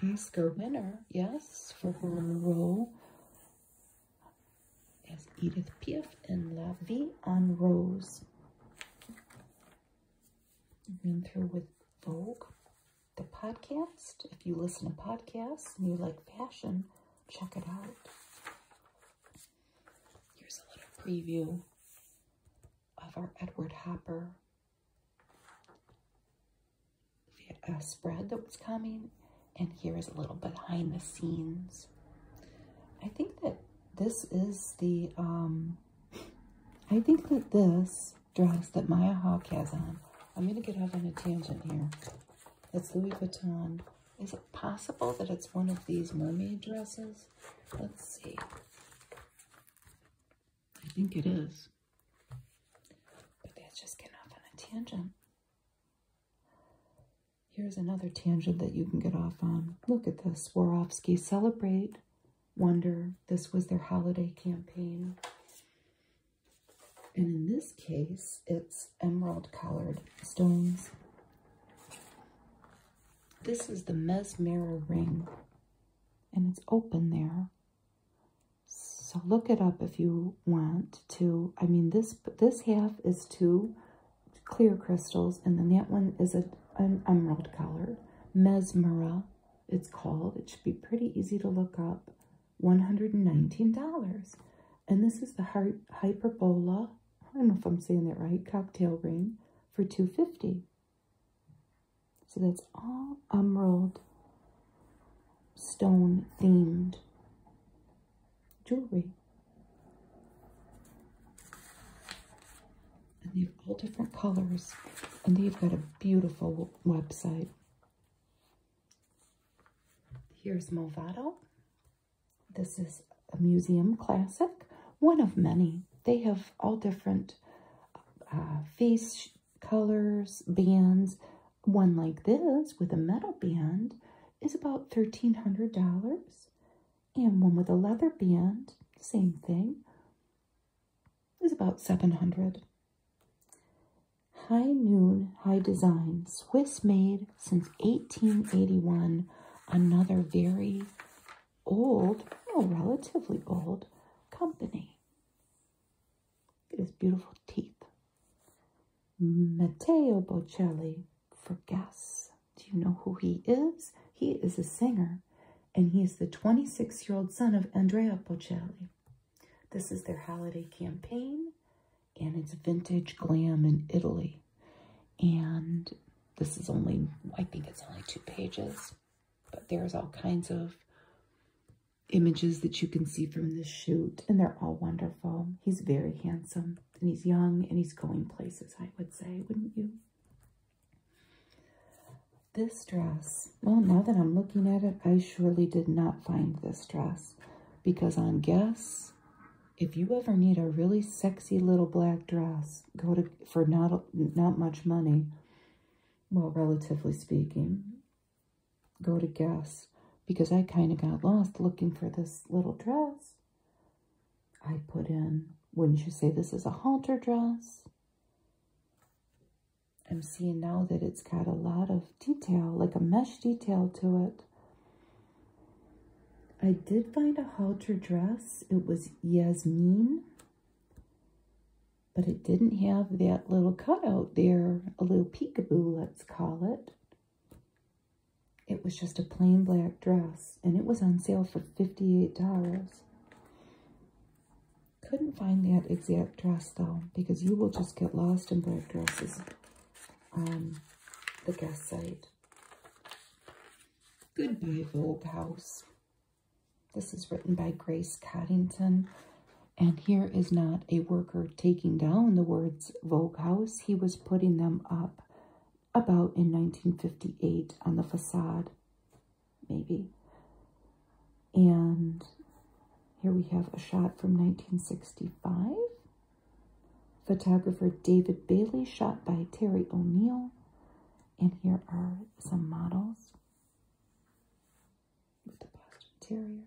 Oscar winner, yes, for her role as Edith Piaf in La Vie en Rose been through with Vogue, the podcast. If you listen to podcasts and you like fashion, check it out. Here's a little preview of our Edward Hopper uh, spread that was coming. And here is a little behind the scenes. I think that this is the, um, I think that this dress that Maya Hawk has on, I'm going to get off on a tangent here. It's Louis Vuitton. Is it possible that it's one of these mermaid dresses? Let's see. I think it is. But that's just getting off on a tangent. Here's another tangent that you can get off on. Look at this. Swarovski Celebrate Wonder. This was their holiday campaign. And in this case, it's emerald colored stones. This is the Mesmera ring, and it's open there. So look it up if you want to. I mean, this this half is two, clear crystals, and then that one is a, an emerald color, Mesmera, it's called. It should be pretty easy to look up. $119. And this is the heart Hyperbola, I don't know if I'm saying that right, cocktail ring for 250 So that's all emerald stone themed jewelry and they have all different colors and they've got a beautiful website here's movado this is a museum classic one of many they have all different uh, face colors bands one like this with a metal band is about $1,300 and one with a leather band, same thing, is about 700. High Noon High Design, Swiss made since 1881. Another very old, well, relatively old company. It is beautiful teeth. Matteo Bocelli for Guess. Do you know who he is? He is a singer, and he is the 26-year-old son of Andrea Bocelli. This is their holiday campaign, and it's vintage glam in Italy. And this is only, I think it's only two pages, but there's all kinds of images that you can see from the shoot, and they're all wonderful. He's very handsome, and he's young, and he's going places, I would say, wouldn't you? This dress, well, now that I'm looking at it, I surely did not find this dress because on Guess, if you ever need a really sexy little black dress, go to for not not much money, well, relatively speaking, go to Guess because I kind of got lost looking for this little dress I put in, wouldn't you say this is a halter dress? I'm seeing now that it's got a lot of detail, like a mesh detail to it. I did find a halter dress. It was Yasmin, but it didn't have that little cutout there, a little peekaboo, let's call it. It was just a plain black dress, and it was on sale for $58. Couldn't find that exact dress though, because you will just get lost in black dresses the guest site. Goodbye Vogue House. This is written by Grace Coddington. And here is not a worker taking down the words Vogue House. He was putting them up about in 1958 on the facade maybe. And here we have a shot from 1965. Photographer David Bailey, shot by Terry O'Neill. And here are some models with the Boston Terrier.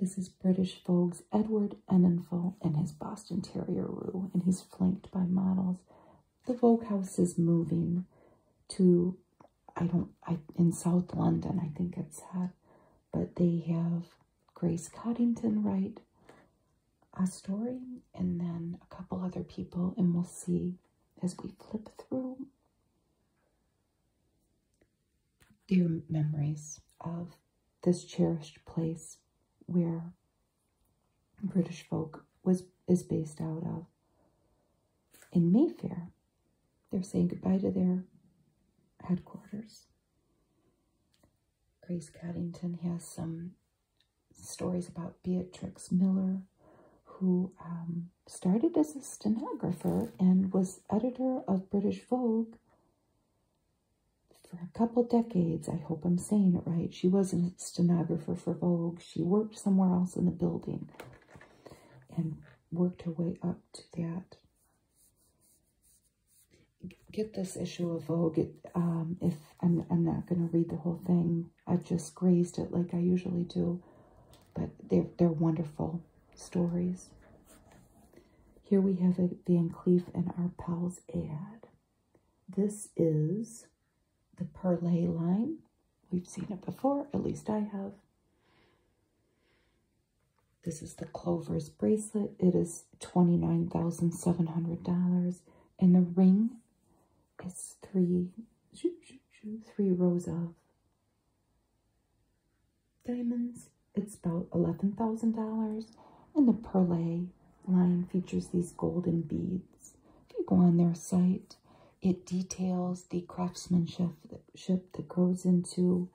This is British Vogue's Edward Enninful and his Boston Terrier Roo, and he's flanked by models the Vogue house is moving to I don't I in South London I think it's at but they have Grace Coddington write a story and then a couple other people and we'll see as we flip through dear memories of this cherished place where British folk was is based out of. In Mayfair, they're saying goodbye to their headquarters. Grace Coddington has some stories about Beatrix Miller, who um, started as a stenographer and was editor of British Vogue for a couple decades. I hope I'm saying it right. She was an stenographer for Vogue. She worked somewhere else in the building and worked her way up to that. Get this issue of Vogue. Um, if I'm, I'm not going to read the whole thing. i just grazed it like I usually do. But they're, they're wonderful stories. Here we have Van Cleef and Arpels ad. This is the Perle line. We've seen it before, at least I have. This is the Clover's bracelet. It is $29,700. And the ring is three, three rows of diamonds. It's about $11,000. And the Perle jewelry line features these golden beads. If you go on their site, it details the craftsmanship that goes into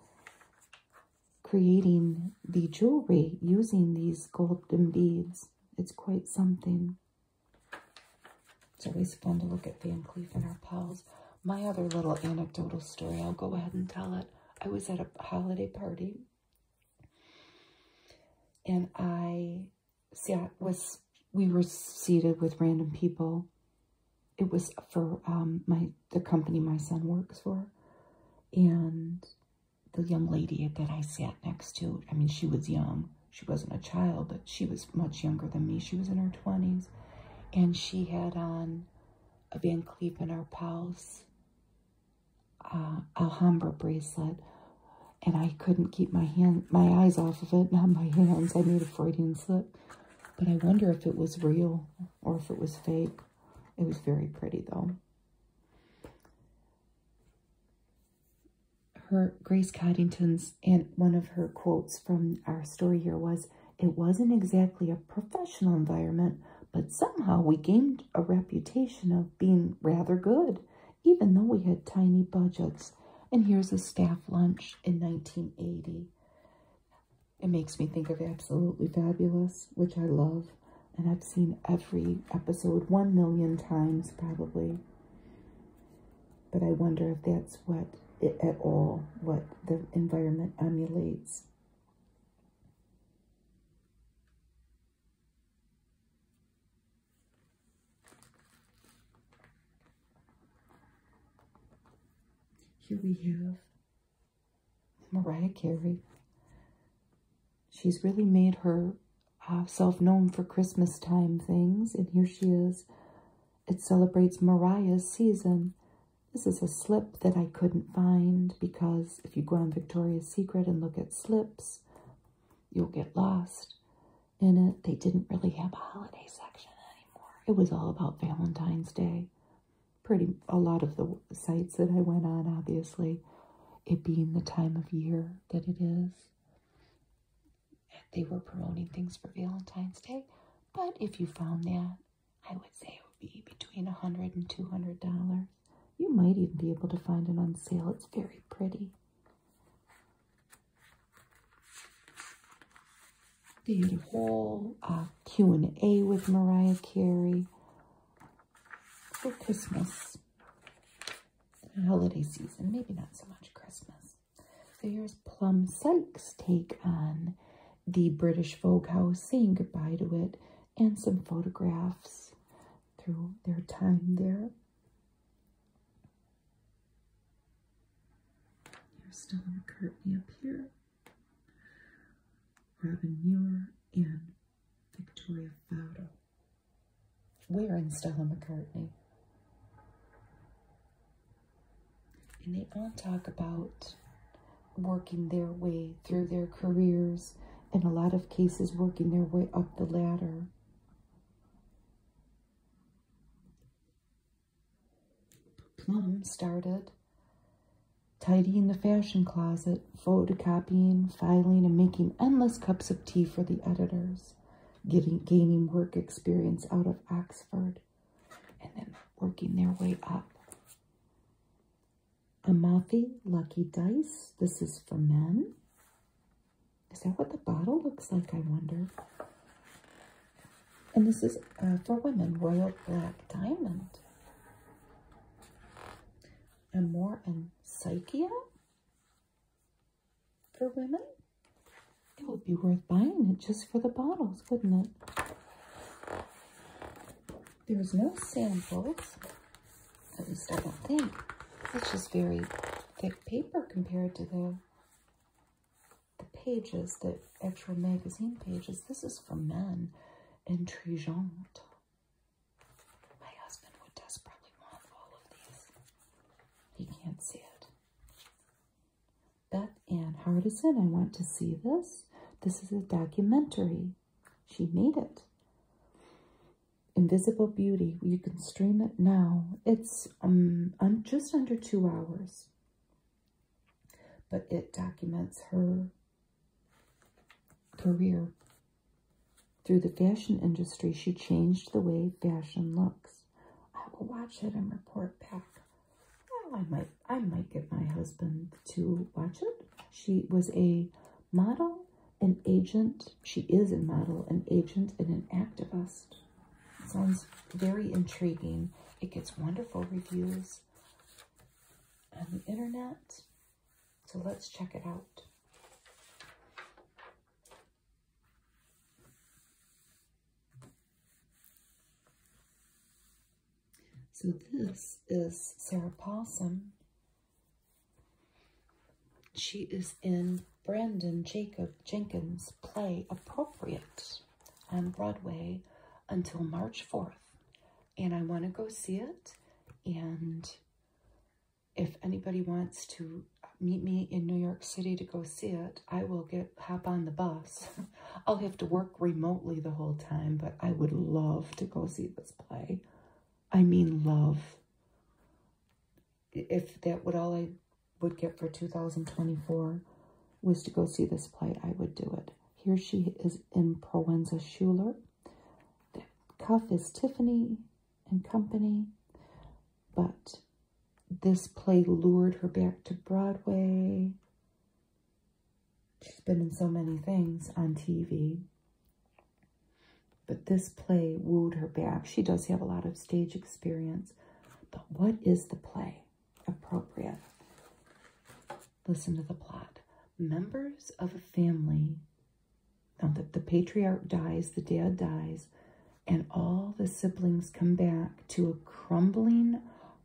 creating the jewelry using these golden beads. It's quite something. It's always fun to look at Van Cleef and Arpels. My other little anecdotal story, I'll go ahead and tell it. I was at a holiday party and I see, I was, we were seated with random people. It was for um, my the company my son works for. And the young lady that I sat next to, I mean, she was young. She wasn't a child, but she was much younger than me. She was in her 20s. And she had on a Van Cleef & Arpels uh, Alhambra bracelet and I couldn't keep my hand, my eyes off of it, *laughs* not my hands. I made a Freudian slip. But I wonder if it was real or if it was fake. It was very pretty, though. Her Grace Caddington's and one of her quotes from our story here was, it wasn't exactly a professional environment, but somehow we gained a reputation of being rather good even though we had tiny budgets. And here's a staff lunch in 1980. It makes me think of Absolutely Fabulous, which I love. And I've seen every episode one million times probably. But I wonder if that's what, at all, what the environment emulates. Here we have Mariah Carey. She's really made herself uh, known for Christmas time things, and here she is. It celebrates Mariah's season. This is a slip that I couldn't find because if you go on Victoria's Secret and look at slips, you'll get lost in it. They didn't really have a holiday section anymore. It was all about Valentine's Day. Pretty a lot of the sites that I went on, obviously, it being the time of year that it is. They were promoting things for Valentine's Day, but if you found that, I would say it would be between a hundred and two hundred dollars. You might even be able to find it on sale. It's very pretty did uh, a whole Q&A with Mariah Carey for Christmas, holiday season, maybe not so much Christmas. So here's Plum Sykes' take on the British Vogue House, saying goodbye to it, and some photographs through their time there. There's Stella McCartney up here, Robin Muir, and Victoria Fowdo. We're in Stella McCartney. And they all talk about working their way through their careers, in a lot of cases, working their way up the ladder. Plum started tidying the fashion closet, photocopying, filing, and making endless cups of tea for the editors, getting, gaining work experience out of Oxford, and then working their way up. Amathi Lucky Dice, this is for men. Is that what the bottle looks like, I wonder? And this is uh, for women, Royal Black Diamond. And more in Psychia for women. It would be worth buying it just for the bottles, wouldn't it? There was no samples. At least I don't think. It's just very thick paper compared to the, the pages, the actual magazine pages. This is for men intrigante. My husband would desperately want all of these. He can't see it. Beth Ann Hardison, I want to see this. This is a documentary. She made it. Invisible Beauty. You can stream it now. It's um, just under two hours. But it documents her career. Through the fashion industry, she changed the way fashion looks. I will watch it and report back. Well, I might, I might get my husband to watch it. She was a model, an agent. She is a model, an agent, and an activist. Sounds very intriguing. It gets wonderful reviews on the internet. So let's check it out. So this is Sarah Possum. She is in Brandon Jacob Jenkins' play Appropriate on Broadway until March 4th. And I want to go see it. And if anybody wants to meet me in New York City to go see it, I will get hop on the bus. *laughs* I'll have to work remotely the whole time, but I would love to go see this play. I mean love if that would all I would get for 2024 was to go see this play, I would do it. Here she is in Proenza Schuler. cuff is Tiffany and Company, but this play lured her back to Broadway. She's been in so many things on TV. But this play wooed her back. She does have a lot of stage experience. But what is the play appropriate? Listen to the plot. Members of a family. Now, the, the patriarch dies, the dad dies, and all the siblings come back to a crumbling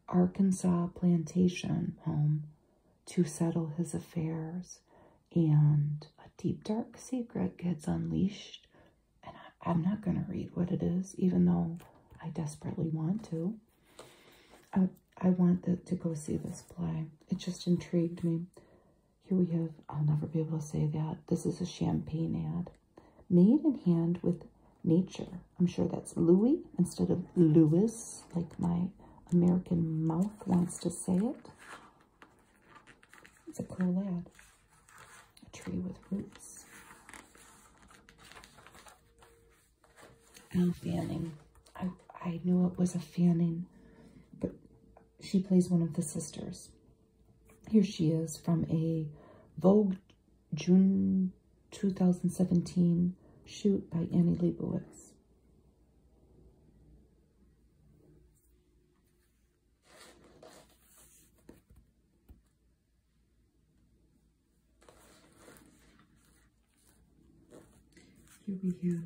Arkansas plantation home to settle his affairs. And a deep, dark secret gets unleashed and I, am not going to read what it is, even though I desperately want to. I, I want the, to go see this play. It just intrigued me. Here we have, I'll never be able to say that. This is a champagne ad. Made in hand with nature. I'm sure that's Louis instead of Louis, like my American mouth wants to say it. It's a cool ad a tree with roots. Al Fanning. I, I knew it was a Fanning, but she plays one of the sisters. Here she is from a Vogue June 2017 shoot by Annie Leibovitz. Here we have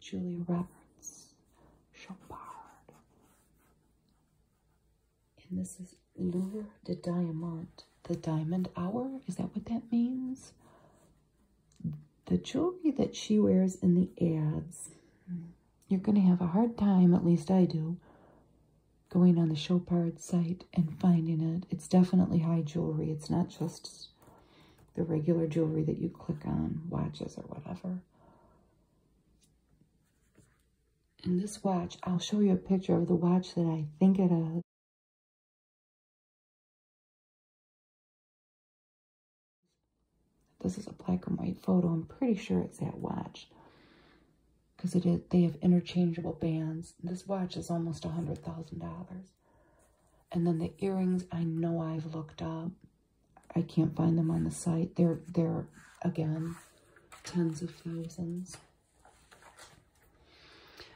Julia Roberts, Chopard, and this is Lure de Diamant. The Diamond Hour, is that what that means? The jewelry that she wears in the ads. Hmm. You're going to have a hard time, at least I do, going on the Chopard site and finding it. It's definitely high jewelry. It's not just the regular jewelry that you click on, watches or whatever. And this watch, I'll show you a picture of the watch that I think it is. This is a black and white photo. I'm pretty sure it's that watch because they have interchangeable bands. This watch is almost a $100,000. And then the earrings, I know I've looked up. I can't find them on the site. They're, they're again, tens of thousands.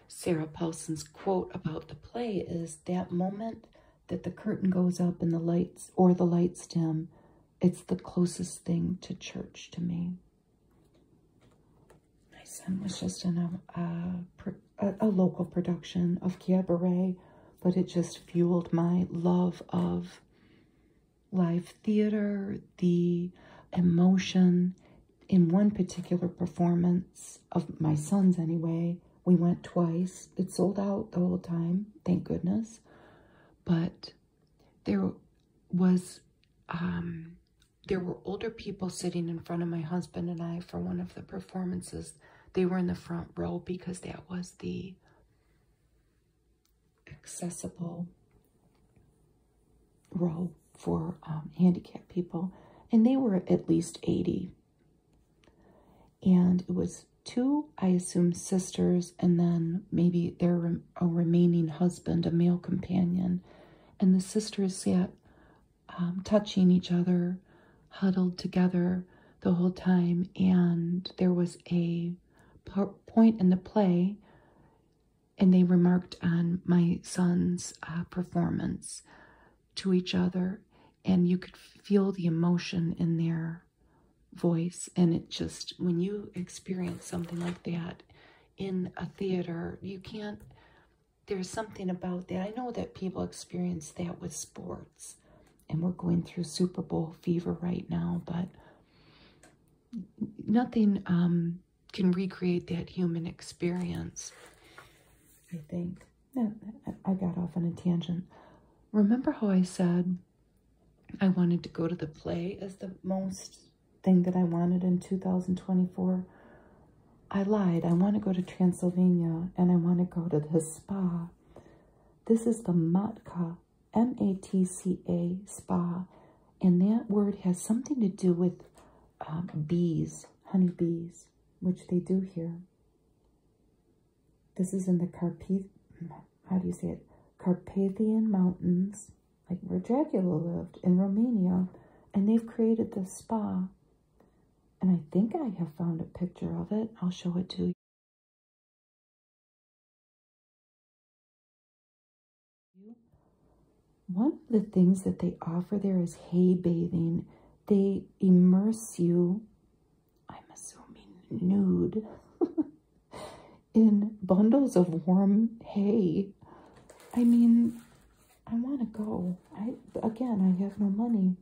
Sarah Paulson's quote about the play is that moment that the curtain goes up and the lights, or the lights dim, it's the closest thing to church to me. My son was just in a, a, local production of Cabaret, but it just fueled my love of live theater, the emotion. In one particular performance of my son's anyway, we went twice. It sold out the whole time, thank goodness but there was um, there were older people sitting in front of my husband and I for one of the performances. They were in the front row because that was the accessible row for um, handicapped people. And they were at least 80. And it was two, I assume, sisters, and then maybe their a remaining husband, a male companion. And the sisters sat um, touching each other, huddled together the whole time. And there was a point in the play, and they remarked on my son's uh, performance to each other. And you could feel the emotion in their voice and it just when you experience something like that in a theater you can't there's something about that i know that people experience that with sports and we're going through super bowl fever right now but nothing um, can recreate that human experience i think i got off on a tangent remember how i said I wanted to go to the play as the most thing that I wanted in 2024. I lied. I want to go to Transylvania and I want to go to the spa. This is the Matka, M-A-T-C-A spa. And that word has something to do with um, bees, honey bees, which they do here. This is in the Carpath how do you say it? Carpathian Mountains, like where Dracula lived in Romania, and they've created this spa. And I think I have found a picture of it. I'll show it to you. One of the things that they offer there is hay bathing. They immerse you I'm assuming nude, *laughs* in bundles of warm hay. I mean, I want to go. I Again, I have no money.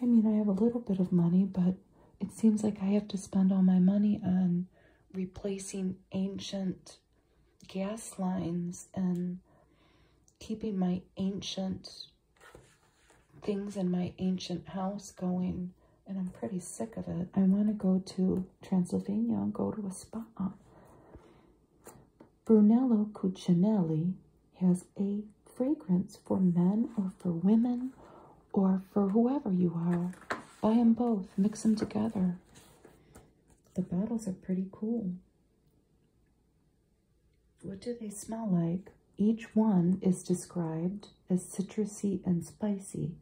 I mean, I have a little bit of money, but it seems like I have to spend all my money on replacing ancient gas lines and keeping my ancient things in my ancient house going and I'm pretty sick of it. I want to go to Transylvania and go to a spa. Brunello Cucinelli has a fragrance for men or for women or for whoever you are. Buy them both. Mix them together. The bottles are pretty cool. What do they smell like? Each one is described is citrusy and spicy,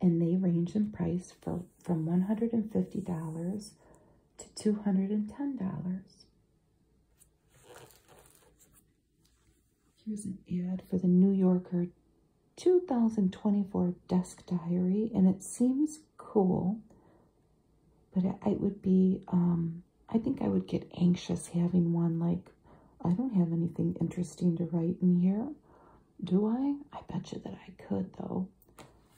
and they range in price for, from $150 to $210. Here's an ad for the New Yorker 2024 desk diary, and it seems cool, but I would be, um, I think I would get anxious having one like I don't have anything interesting to write in here, do I? I bet you that I could, though.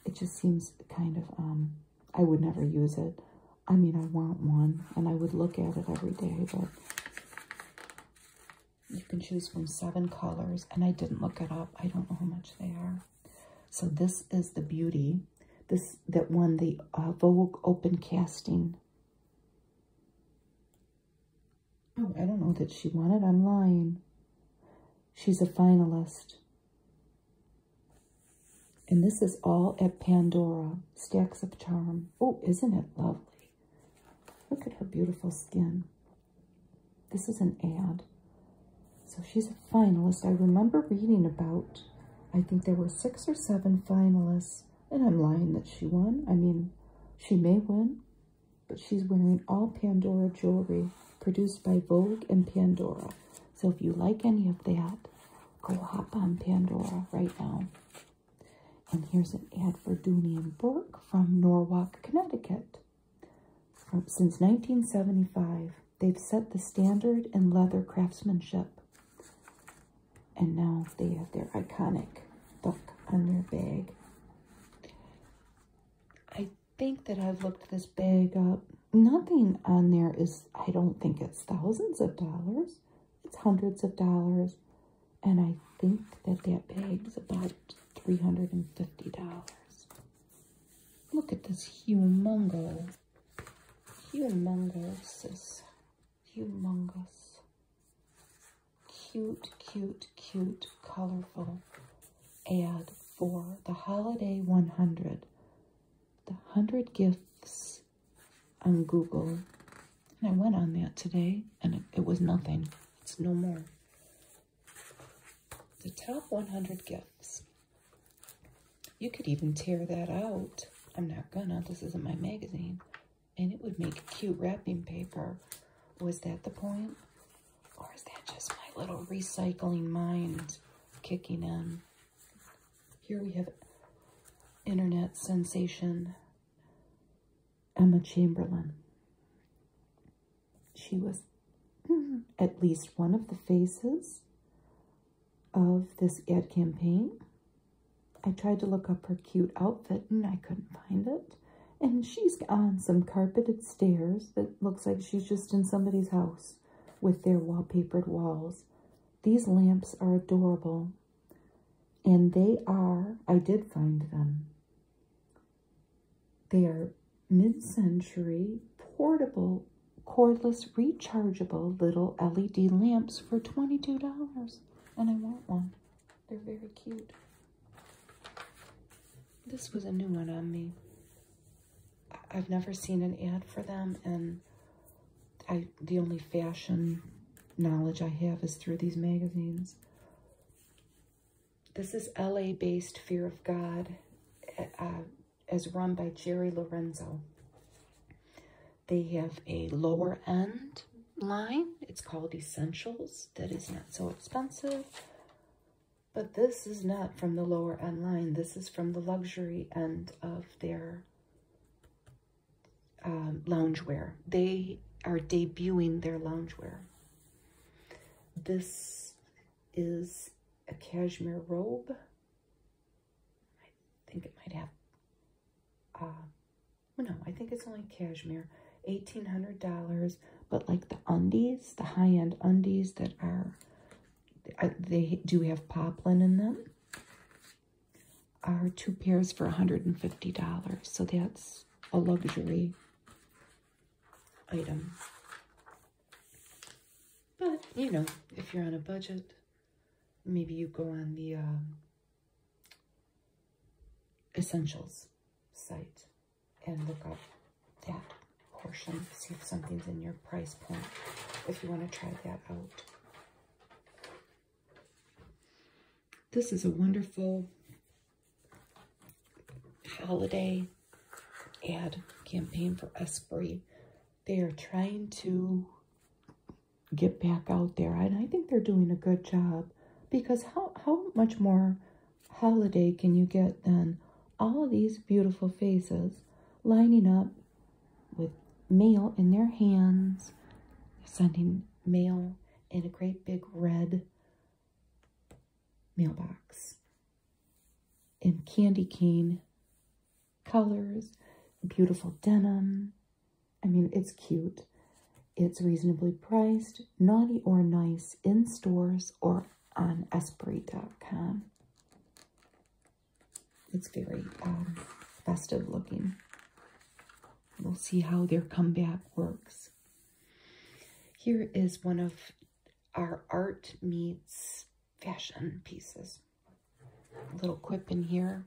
It just seems kind of, um, I would never use it. I mean, I want one, and I would look at it every day, but you can choose from seven colors, and I didn't look it up. I don't know how much they are. So this is the beauty, this that won the uh, Vogue Open Casting Oh, I don't know that she won it. I'm lying. She's a finalist. And this is all at Pandora. Stacks of Charm. Oh, isn't it lovely? Look at her beautiful skin. This is an ad. So she's a finalist. I remember reading about, I think there were six or seven finalists. And I'm lying that she won. I mean, she may win but she's wearing all Pandora jewelry produced by Vogue and Pandora. So if you like any of that, go hop on Pandora right now. And here's an ad for Dooney and Burke from Norwalk, Connecticut. since 1975, they've set the standard in leather craftsmanship. And now they have their iconic buck on their bag I think that I've looked this bag up. Nothing on there is, I don't think it's thousands of dollars. It's hundreds of dollars. And I think that that is about $350. Look at this humongo. Humongous. Humongous cute, cute, cute, colorful ad for the Holiday 100. The 100 gifts on Google. And I went on that today and it, it was nothing. It's no more. The top 100 gifts. You could even tear that out. I'm not gonna. This isn't my magazine and it would make cute wrapping paper. Was that the point? Or is that just my little recycling mind kicking in? Here we have internet sensation Emma Chamberlain. She was *laughs* at least one of the faces of this ad campaign. I tried to look up her cute outfit and I couldn't find it. And she's on some carpeted stairs that looks like she's just in somebody's house with their wallpapered walls. These lamps are adorable. And they are, I did find them. They are mid-century, portable, cordless, rechargeable little LED lamps for $22. And I want one. They're very cute. This was a new one on me. I've never seen an ad for them, and I the only fashion knowledge I have is through these magazines. This is LA-based Fear of God, uh, as run by Jerry Lorenzo. They have a lower end line. It's called Essentials. That is not so expensive. But this is not from the lower end line. This is from the luxury end of their um, loungewear. They are debuting their loungewear. This is a cashmere robe. I think it might have uh, no, I think it's only cashmere, $1,800. But like the undies, the high end undies that are, uh, they do have poplin in them, are two pairs for $150. So that's a luxury item. But, you know, if you're on a budget, maybe you go on the um, essentials site and look up that portion, see if something's in your price point if you want to try that out. This is a wonderful holiday ad campaign for Esprit. They are trying to get back out there, and I think they're doing a good job because how, how much more holiday can you get then all these beautiful faces lining up with mail in their hands, sending mail in a great big red mailbox in candy cane colors, beautiful denim. I mean, it's cute. It's reasonably priced naughty or nice in stores or on Esprit.com. It's very um, festive looking. We'll see how their comeback works. Here is one of our art meets fashion pieces. A little quip in here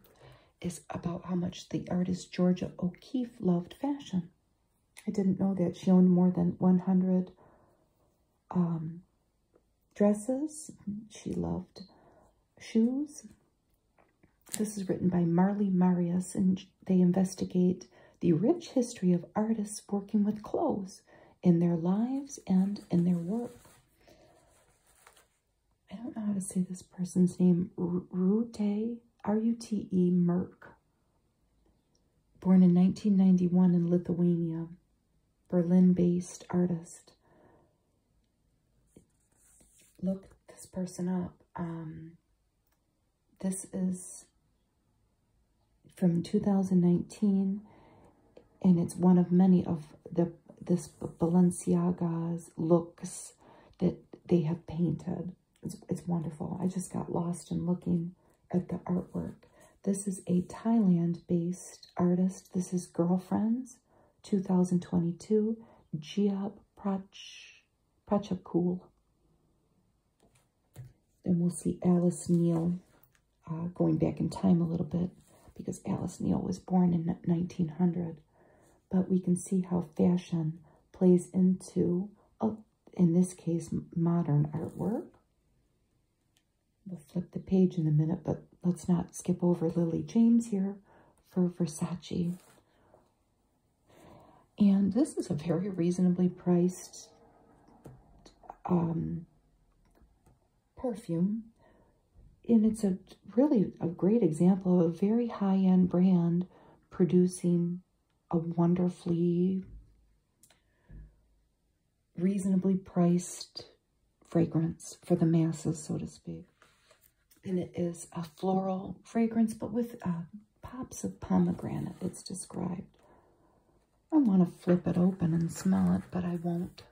is about how much the artist Georgia O'Keeffe loved fashion. I didn't know that she owned more than 100 um, dresses. She loved shoes. This is written by Marley Marius, and they investigate the rich history of artists working with clothes in their lives and in their work. I don't know how to say this person's name. Rute, R-U-T-E, Merck, Born in 1991 in Lithuania, Berlin based artist. Look this person up. Um, this is from 2019 and it's one of many of the this Balenciaga's looks that they have painted. It's, it's wonderful. I just got lost in looking at the artwork. This is a Thailand-based artist. This is Girlfriends 2022, Jiab Prach, Prachakul. And we'll see Alice Neal uh, going back in time a little bit because Alice Neal was born in 1900. But we can see how fashion plays into a in this case, modern artwork. We'll flip the page in a minute, but let's not skip over Lily James here for Versace. And this is a very reasonably priced um, perfume. And it's a really a great example of a very high-end brand producing a wonderfully reasonably priced fragrance for the masses, so to speak. And it is a floral fragrance, but with uh, pops of pomegranate, it's described. I want to flip it open and smell it, but I won't.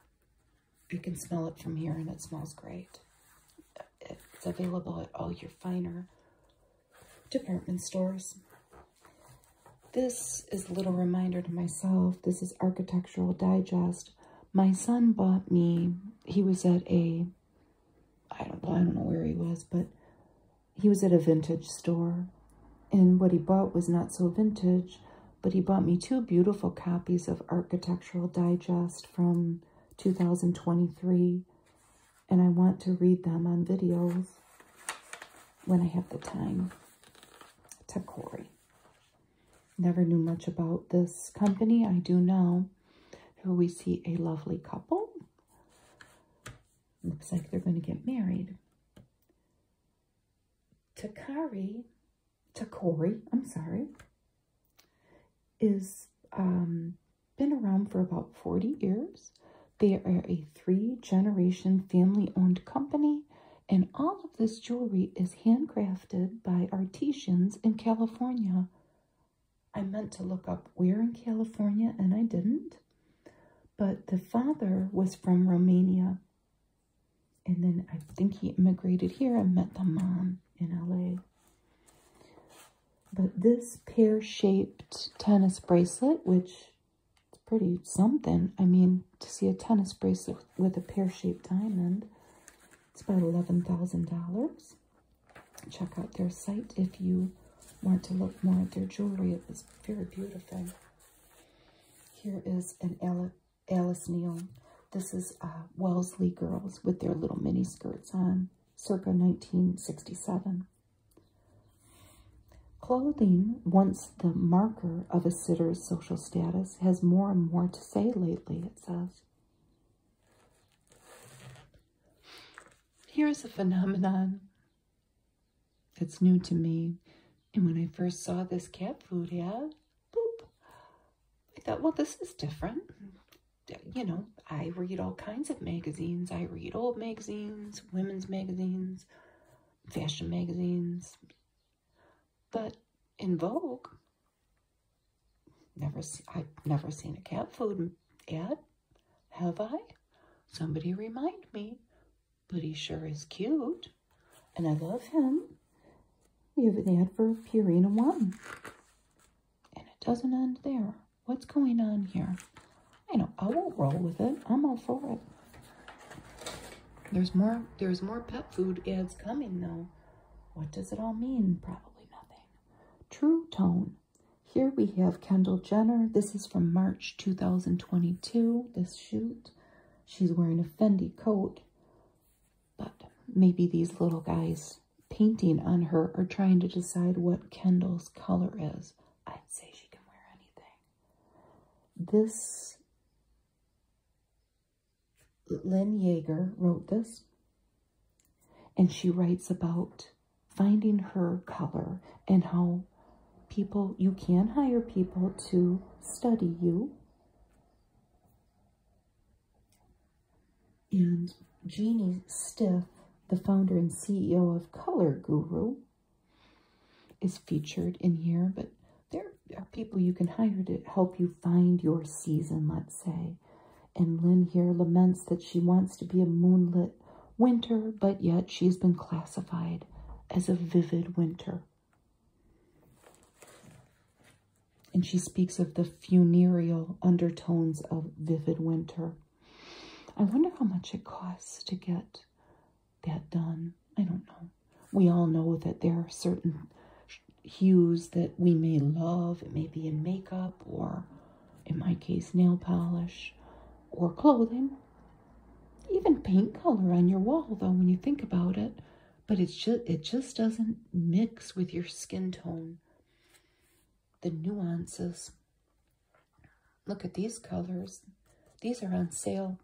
I can smell it from here, and it smells great. It's available at all your finer department stores. This is a little reminder to myself. This is Architectural Digest. My son bought me, he was at a, I don't, I don't know where he was, but he was at a vintage store. And what he bought was not so vintage, but he bought me two beautiful copies of Architectural Digest from 2023 and I want to read them on videos when I have the time. Takori. Never knew much about this company. I do know. Here we see a lovely couple. Looks like they're going to get married. Takari, Takori, I'm sorry, is um, been around for about 40 years. They are a three generation family owned company, and all of this jewelry is handcrafted by artisans in California. I meant to look up where in California and I didn't, but the father was from Romania. And then I think he immigrated here and met the mom in LA. But this pear shaped tennis bracelet, which it's pretty something. I mean, to see a tennis bracelet with a pear-shaped diamond, it's about $11,000. Check out their site if you want to look more at their jewelry. It is very beautiful. Here is an Alice, Neal. This is uh, Wellesley girls with their little mini skirts on, circa 1967. Clothing, once the marker of a sitter's social status, has more and more to say lately, it says. Here's a phenomenon. It's new to me. And when I first saw this cat food ad, boop, I thought, well, this is different. You know, I read all kinds of magazines. I read old magazines women's magazines, fashion magazines. But in Vogue, never I've never seen a cat food ad, have I? Somebody remind me, but he sure is cute, and I love him. We have an ad for Purina One, and it doesn't end there. What's going on here? I know. I will not roll with it. I'm all for it. There's more. There's more pet food ads coming though. What does it all mean? Probably nothing. True tone. Here we have Kendall Jenner. This is from March 2022. This shoot. She's wearing a Fendi coat. But maybe these little guys painting on her are trying to decide what Kendall's color is. I'd say she can wear anything. This, Lynn Yeager wrote this, and she writes about finding her color and how people, you can hire people to study you. And Jeannie Stiff, the founder and CEO of Color Guru, is featured in here, but there are people you can hire to help you find your season, let's say. And Lynn here laments that she wants to be a moonlit winter, but yet she's been classified as a vivid winter. And she speaks of the funereal undertones of vivid winter. I wonder how much it costs to get that done. I don't know. We all know that there are certain hues that we may love. It may be in makeup or, in my case, nail polish or clothing. Even paint color on your wall, though, when you think about it. But it's just, it just doesn't mix with your skin tone. The nuances Look at these colors. These are on sale.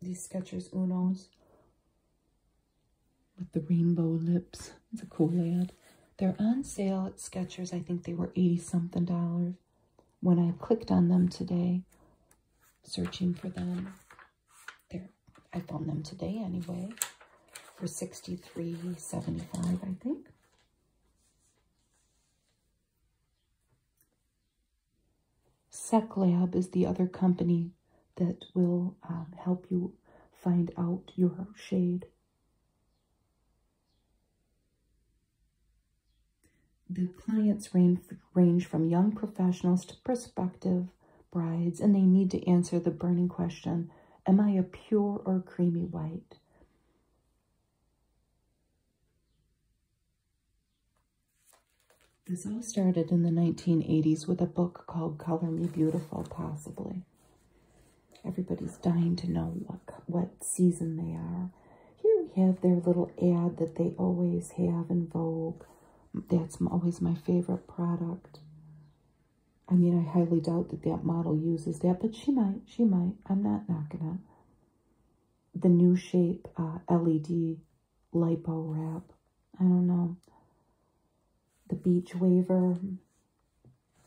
These Skechers Unos with the rainbow lips. It's a cool ad. They're on sale at Skechers. I think they were 80 something dollars when I clicked on them today, searching for them. There, I found them today anyway for 63.75, I think. SecLab is the other company that will um, help you find out your shade. The clients range, range from young professionals to prospective brides, and they need to answer the burning question, am I a pure or creamy white? This all started in the 1980s with a book called Color Me Beautiful, possibly. Everybody's dying to know what, what season they are. Here we have their little ad that they always have in Vogue. That's always my favorite product. I mean, I highly doubt that that model uses that, but she might, she might. I'm not knocking it the new shape uh, LED lipo wrap. I don't know. The Beach Waver.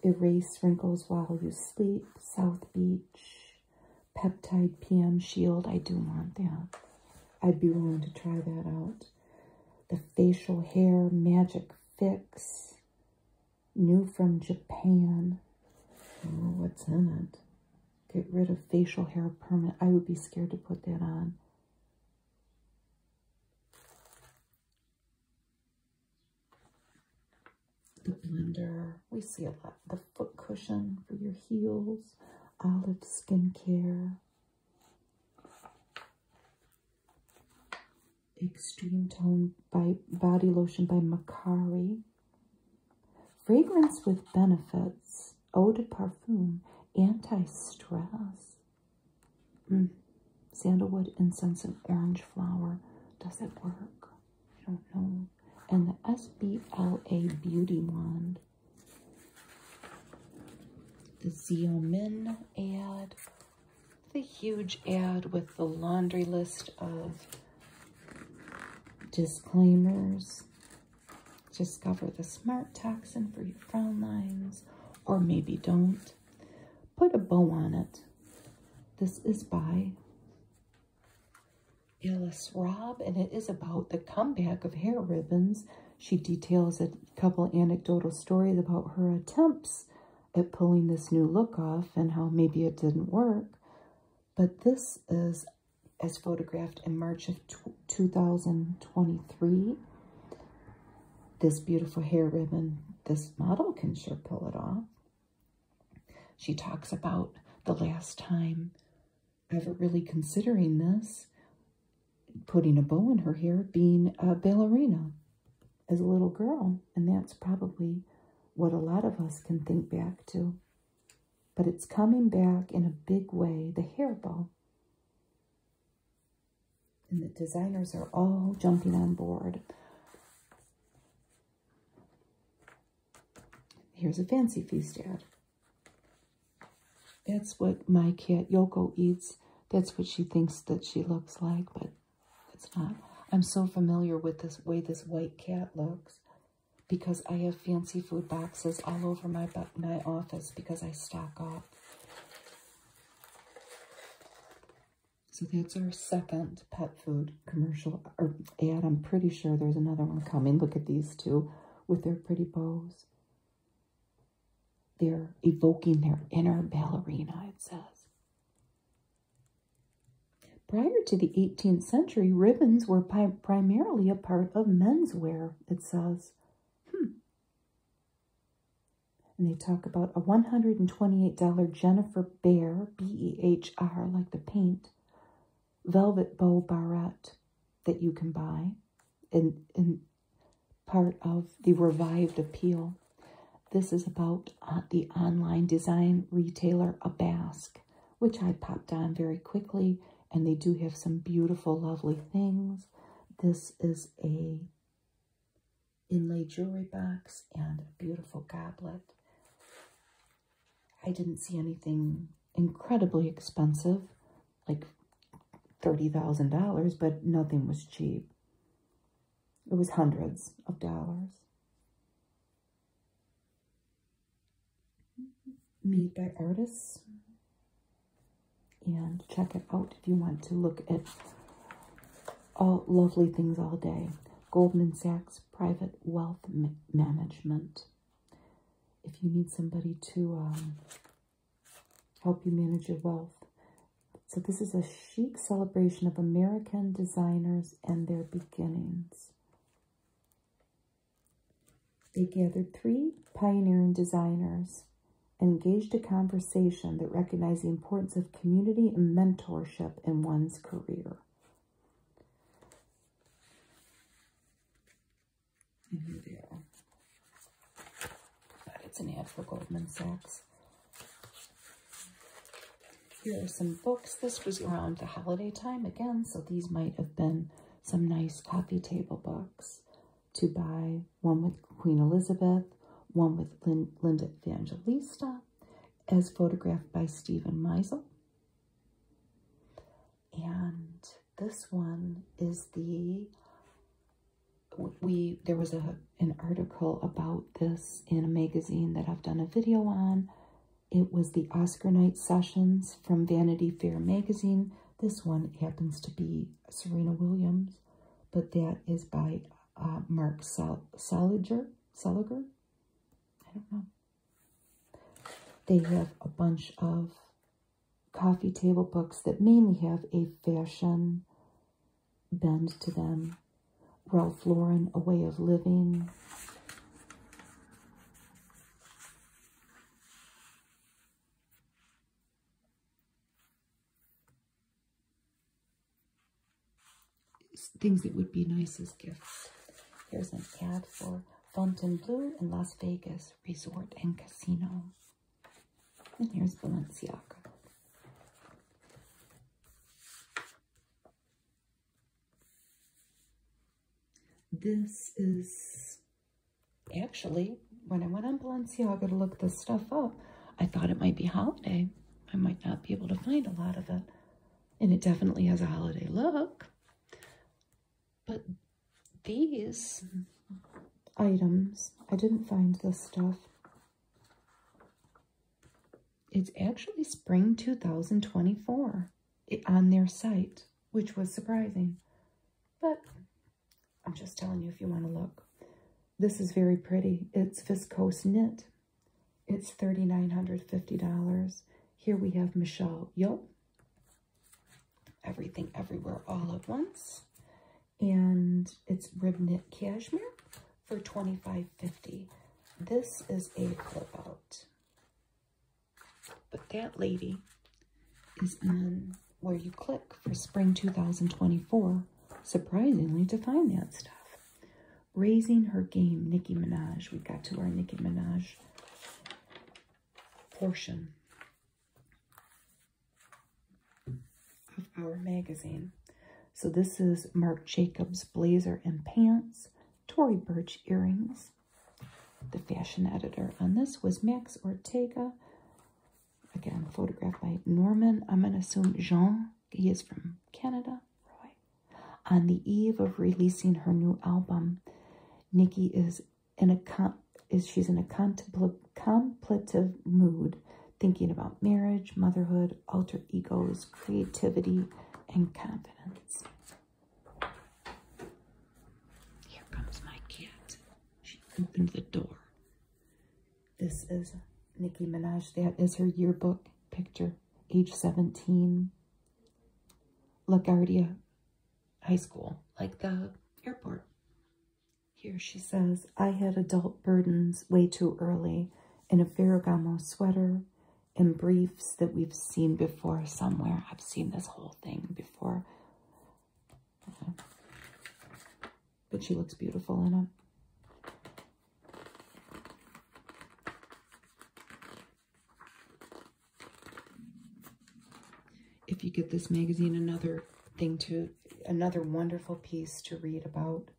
Erase wrinkles while you sleep. South Beach. Peptide PM Shield. I do want that. I'd be willing to try that out. The Facial Hair Magic Fix. New from Japan. Oh, what's in it? Get rid of facial hair permanent. I would be scared to put that on. The blender. We see a lot. The foot cushion for your heels. Olive skincare. Extreme Tone by Body Lotion by Macari. Fragrance with benefits, eau de parfum, anti-stress. Mm. Sandalwood, incense, and orange flower. Does it work? I don't know. And the SBLA Beauty Wand. The Xeomin ad. The huge ad with the laundry list of Disclaimers. Discover the smart toxin for your frown lines, or maybe don't. Put a bow on it. This is by Alice Rob, and it is about the comeback of hair ribbons. She details a couple anecdotal stories about her attempts at pulling this new look off and how maybe it didn't work. But this is as photographed in March of 2023. This beautiful hair ribbon, this model can sure pull it off. She talks about the last time ever really considering this, putting a bow in her hair, being a ballerina as a little girl. And that's probably what a lot of us can think back to but it's coming back in a big way, the hairball. And the designers are all jumping on board. Here's a Fancy Feast ad. That's what my cat Yoko eats. That's what she thinks that she looks like, but it's not. I'm so familiar with this way this white cat looks because I have fancy food boxes all over my, my office because I stock up. So that's our second pet food commercial or ad. I'm pretty sure there's another one coming. Look at these two with their pretty bows. They're evoking their inner ballerina, it says. Prior to the 18th century, ribbons were pri primarily a part of menswear, it says. Hmm. And they talk about a $128 Jennifer Bear, B E H R, like the paint, velvet bow barrette that you can buy and in part of the revived appeal. This is about uh, the online design retailer Abask which I popped on very quickly. And they do have some beautiful, lovely things. This is a inlay jewelry box and a beautiful goblet. I didn't see anything incredibly expensive, like $30,000, but nothing was cheap. It was hundreds of dollars. Meet by artists. And check it out if you want to look at all lovely things all day. Goldman Sachs Private Wealth Management. If you need somebody to um, help you manage your wealth. So this is a chic celebration of American designers and their beginnings. They gathered three pioneering designers and engaged a conversation that recognized the importance of community and mentorship in one's career. It's an ad for Goldman Sachs. Here are some books. This was around the holiday time again, so these might have been some nice coffee table books to buy one with Queen Elizabeth, one with Linda Evangelista, as photographed by Stephen Meisel. And this one is the we there was a an article about this in a magazine that I've done a video on it was the Oscar night sessions from Vanity Fair magazine. This one happens to be Serena Williams, but that is by uh, Mark Sal Saliger. Saliger? I don't know. They have a bunch of coffee table books that mainly have a fashion bend to them. Ralph Lauren, A Way of Living things that would be nice as gifts. Here's an ad for Fontainebleau in Las Vegas Resort and Casino. And here's Balenciaga. This is Actually, when I went on Balenciaga to look this stuff up, I thought it might be holiday. I might not be able to find a lot of it. And it definitely has a holiday look. But these items, I didn't find this stuff. It's actually spring 2024 on their site which was surprising. But I'm just telling you if you want to look. This is very pretty. It's viscose knit. It's $3,950. Here we have Michelle Yo. Everything Everywhere All at Once. And it's rib knit cashmere for $25.50. This is a flip out. But that lady is in where you click for spring 2024, surprisingly, to find that stuff. Raising her game, Nicki Minaj. We got to our Nicki Minaj portion of our magazine. So this is Marc Jacobs blazer and pants, Tory Burch earrings, the fashion editor on this was Max Ortega. Again, photographed by Norman, I'm going to assume Jean, he is from Canada, Roy. On the eve of releasing her new album, Nikki is in a is she's in a contemplative, contemplative mood, thinking about marriage, motherhood, alter egos, creativity, and confidence. Here comes my cat. She opened the door. This is Nicki Minaj. That is her yearbook picture, age 17. LaGuardia High School, like the airport. Here she says, I had adult burdens way too early in a Ferragamo sweater and briefs that we've seen before somewhere. I've seen this whole thing before. But she looks beautiful in it. If you get this magazine, another thing to, another wonderful piece to read about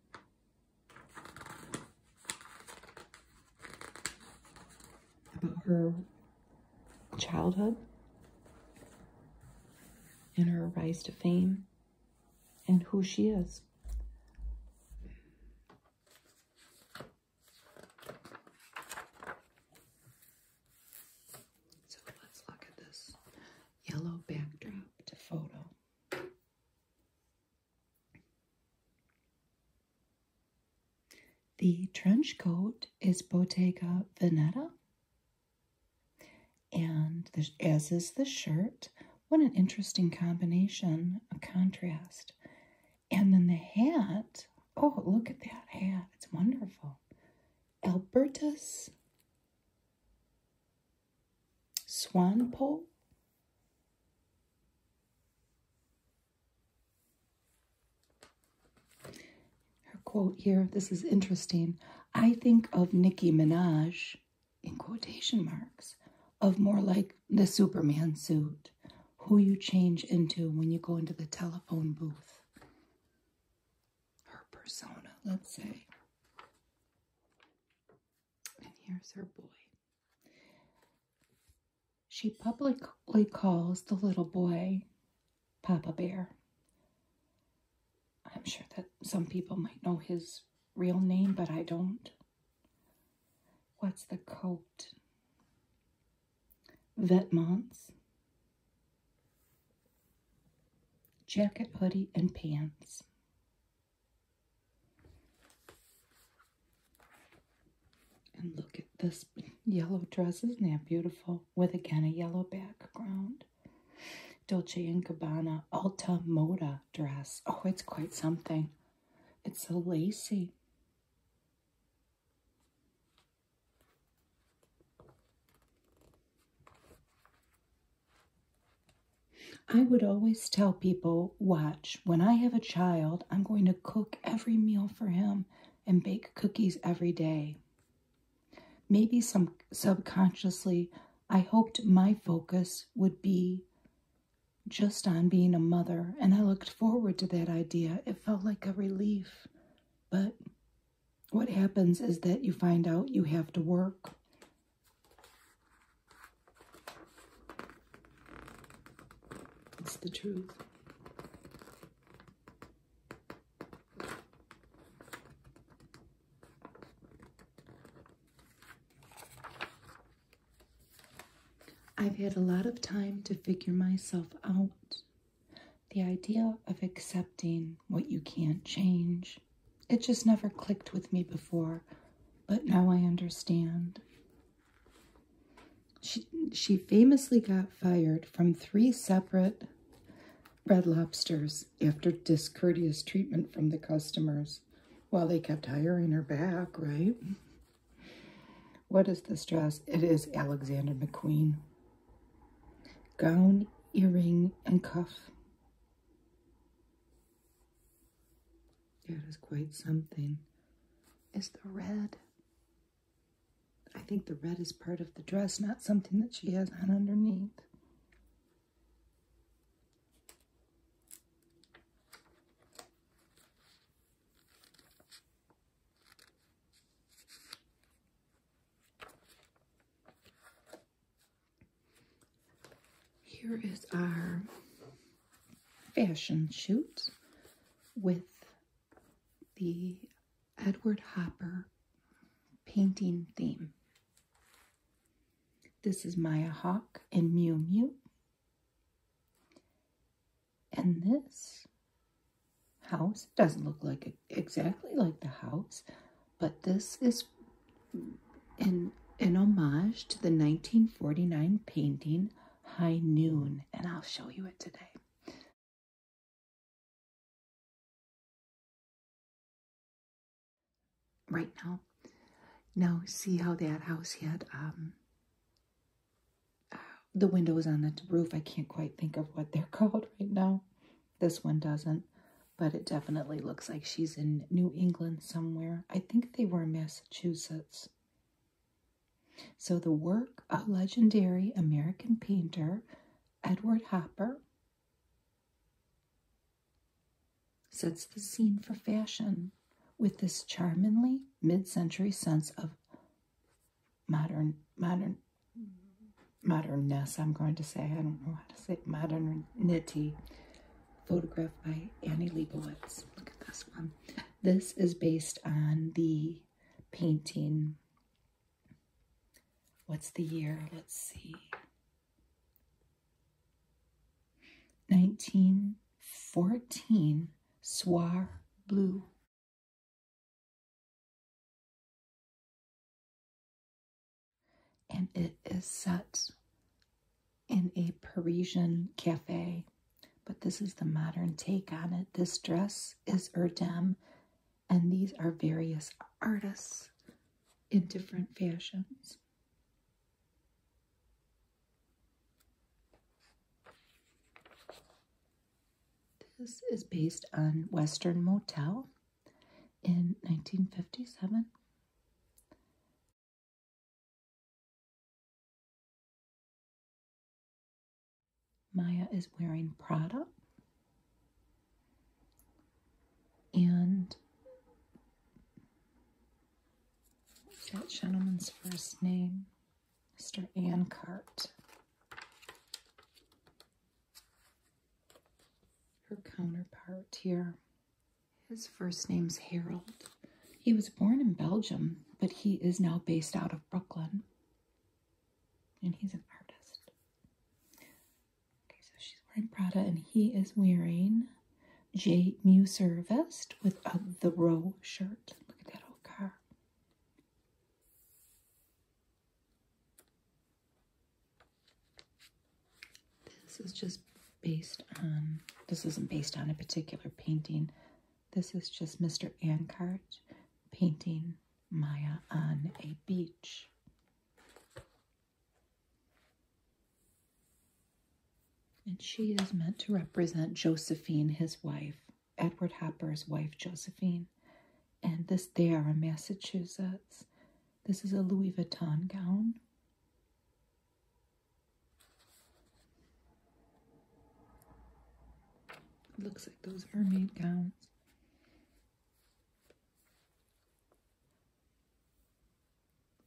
about her childhood and her rise to fame and who she is. So let's look at this yellow backdrop photo. The trench coat is Bottega Veneta. And as is the shirt, what an interesting combination, a contrast. And then the hat, oh, look at that hat, it's wonderful. Albertus Swanpole. Her quote here, this is interesting. I think of Nicki Minaj, in quotation marks, of more like the Superman suit, who you change into when you go into the telephone booth. Her persona, let's say. And here's her boy. She publicly calls the little boy Papa Bear. I'm sure that some people might know his real name, but I don't. What's the coat? Vetmonts. Jacket, hoodie, and pants. And look at this yellow dress. Isn't that beautiful? with again a yellow background. Dolce & Gabbana Alta Moda dress. Oh, it's quite something. It's so lacy. I would always tell people, watch, when I have a child, I'm going to cook every meal for him and bake cookies every day. Maybe some subconsciously, I hoped my focus would be just on being a mother, and I looked forward to that idea. It felt like a relief. But what happens is that you find out you have to work. It's the truth. I've had a lot of time to figure myself out. The idea of accepting what you can't change, it just never clicked with me before, but now I understand. She, she famously got fired from three separate Red Lobsters after discourteous treatment from the customers. while they kept hiring her back, right? What is this dress? It is Alexander McQueen. Gown, earring, and cuff. That is quite something. Is the red. I think the red is part of the dress, not something that she has on underneath. Here is our fashion shoot with the Edward Hopper painting theme. This is Maya Hawk and Mew Mew. And this house doesn't look like exactly like the house, but this is in an homage to the 1949 painting High Noon, and I'll show you it today right now. Now, see how that house had um, the windows on the roof. I can't quite think of what they're *laughs* called right now. This one doesn't, but it definitely looks like she's in New England somewhere. I think they were Massachusetts. So, the work of legendary American painter Edward Hopper sets the scene for fashion with this charmingly mid-century sense of modern modern modernness i'm going to say i don't know how to say modernity photographed by annie leibovitz look at this one this is based on the painting What's the year? Let's see. 1914 Soir Blue. And it is set in a Parisian cafe, but this is the modern take on it. This dress is Erdem and these are various artists in different fashions. This is based on Western Motel in 1957. Maya is wearing Prada. And what's that gentleman's first name? Mr. Cart. Her counterpart here. His first name's Harold. He was born in Belgium, but he is now based out of Brooklyn. And he's an artist. Okay, so she's wearing Prada and he is wearing J. Muse vest with a, the row shirt. Look at that old car. This is just based on, this isn't based on a particular painting. This is just Mr. Ancart painting Maya on a beach. And she is meant to represent Josephine, his wife, Edward Hopper's wife, Josephine. And this, they are in Massachusetts. This is a Louis Vuitton gown. Looks like those are gowns.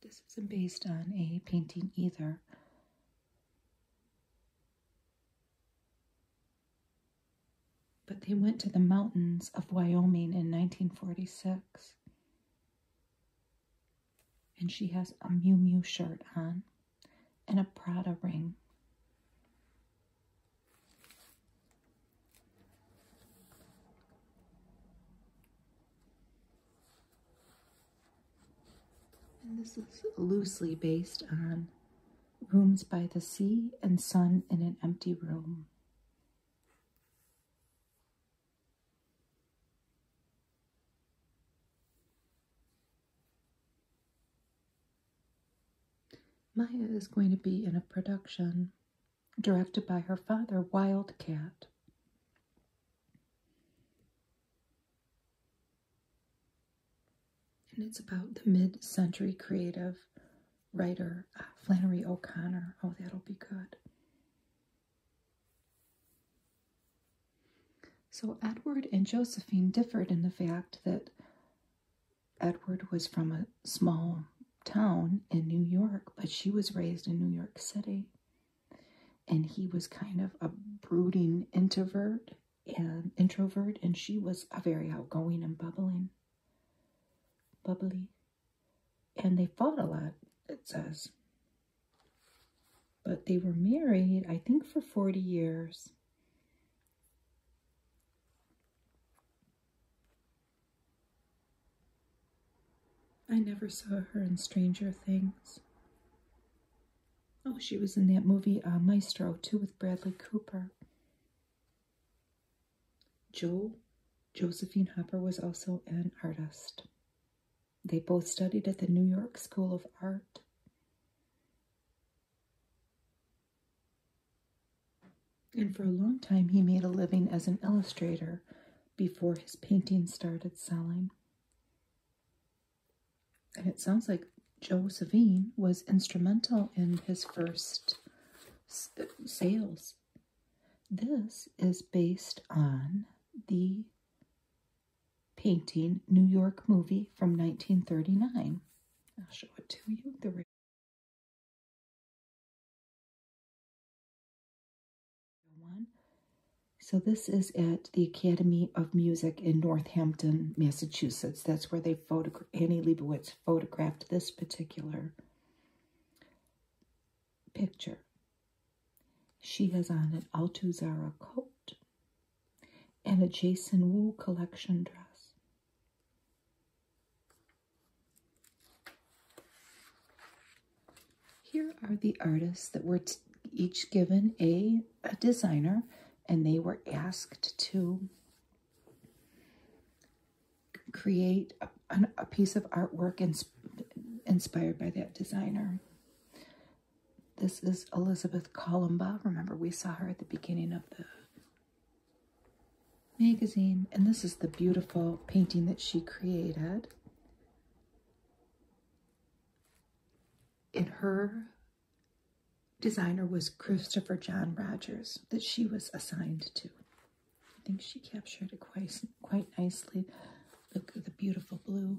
This isn't based on a painting either. But they went to the mountains of Wyoming in 1946. And she has a Mew Mew shirt on and a Prada ring. And this is loosely based on Rooms by the Sea and Sun in an Empty Room. Maya is going to be in a production directed by her father, Wildcat. And it's about the mid century creative writer uh, Flannery O'Connor. Oh, that'll be good. So, Edward and Josephine differed in the fact that Edward was from a small town in New York, but she was raised in New York City. And he was kind of a brooding introvert and introvert, and she was a very outgoing and bubbling, bubbly. And they fought a lot, it says. But they were married, I think, for 40 years. I never saw her in Stranger Things. Oh, she was in that movie uh, Maestro, too, with Bradley Cooper. Joe, Josephine Hopper, was also an artist. They both studied at the New York School of Art. And for a long time, he made a living as an illustrator before his paintings started selling. And it sounds like Joe Savine was instrumental in his first sales. This is based on the painting New York movie from 1939. I'll show it to you. The so, this is at the Academy of Music in Northampton, Massachusetts. That's where they photogra- Annie Leibovitz photographed this particular picture. She has on an Alto coat and a Jason Wu collection dress. Here are the artists that were each given a, a designer and they were asked to create a, piece of artwork inspired by that designer. This is Elizabeth Columba. Remember, we saw her at the beginning of the magazine. And this is the beautiful painting that she created. And her designer was Christopher John Rogers, that she was assigned to. I think she captured it quite, quite nicely. Look at the beautiful blue.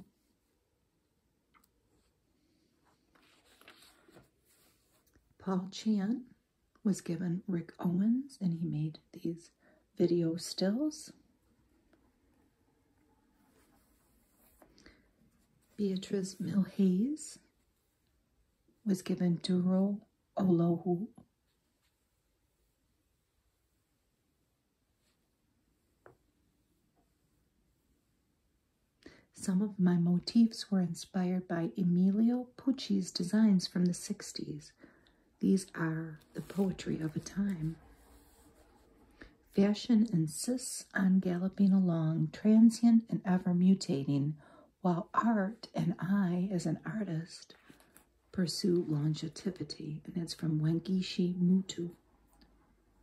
Paul Chan was given Rick Owens, and he made these video stills. Beatrice Milhays was given Duro Olohu. Some of my motifs were inspired by Emilio Pucci's designs from the 60s. These are the poetry of a time. Fashion insists on galloping along, transient and ever mutating, while art and I, as an artist, pursue longevity. And it's from Wengishi Mutu,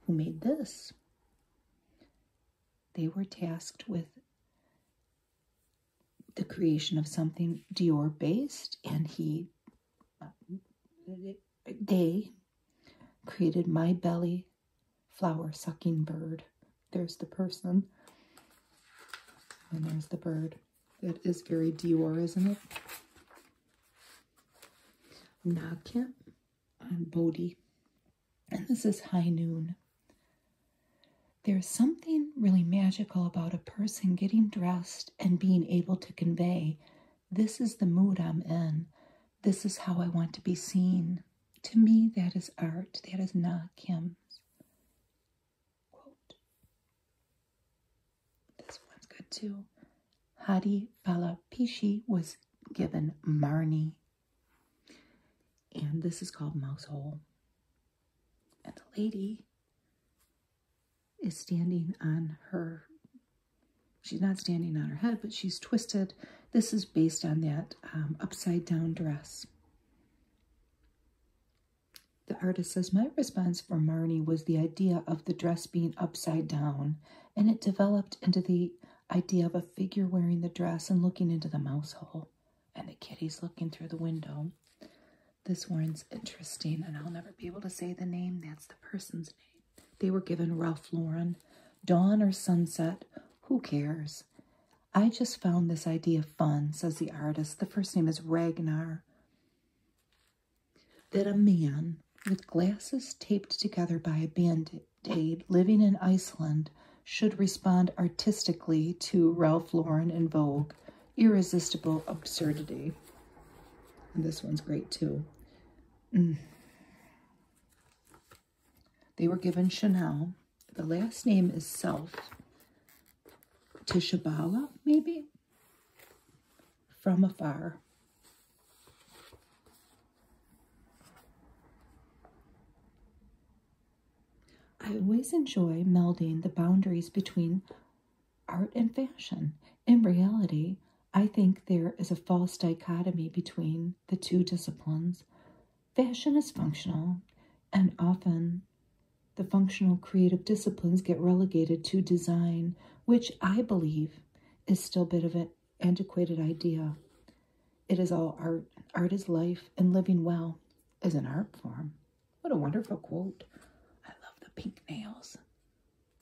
who made this. They were tasked with the creation of something Dior based, and he, they created My Belly Flower Sucking Bird. There's the person, and there's the bird. That is very Dior, isn't it? Nagkent on Bodhi. And this is High Noon. There's something really magical about a person getting dressed and being able to convey, This is the mood I'm in. This is how I want to be seen. To me, that is art. That is not Kim's. This one's good too. Hadi Balapishi was given Marnie. And this is called Mousehole. And the lady is standing on her, she's not standing on her head, but she's twisted. This is based on that um, upside down dress. The artist says, My response for Marnie was the idea of the dress being upside down, and it developed into the idea of a figure wearing the dress and looking into the mouse hole, and the kitties looking through the window. This one's interesting, and I'll never be able to say the name. That's the person's name. They were given Ralph Lauren. Dawn or sunset, who cares? I just found this idea fun, says the artist. The first name is Ragnar. That a man with glasses taped together by a band-aid living in Iceland should respond artistically to Ralph Lauren in Vogue irresistible absurdity. And this one's great too. Mm. They were given Chanel. The last name is Self. Tishabala, maybe? From afar. I always enjoy melding the boundaries between art and fashion. In reality, I think there is a false dichotomy between the two disciplines. Fashion is functional, and often the functional creative disciplines get relegated to design, which I believe is still a bit of an antiquated idea. It is all art. Art is life, and living well is an art form. What a wonderful quote. I love the pink nails.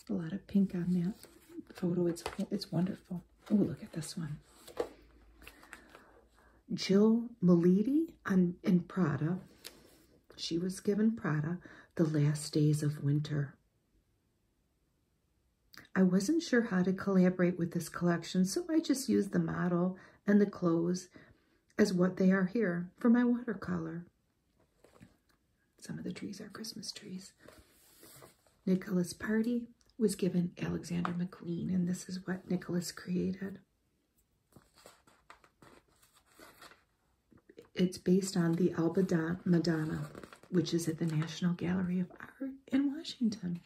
A lot of pink on that photo. It's, it's wonderful. Oh, look at this one. Jill Maliti on, in Prada. She was given Prada the last days of winter. I wasn't sure how to collaborate with this collection, so I just used the model and the clothes as what they are here for my watercolor. Some of the trees are Christmas trees. Nicholas Party was given Alexander McQueen, and this is what Nicholas created. It's based on the Alba Madonna, which is at the National Gallery of Art in Washington.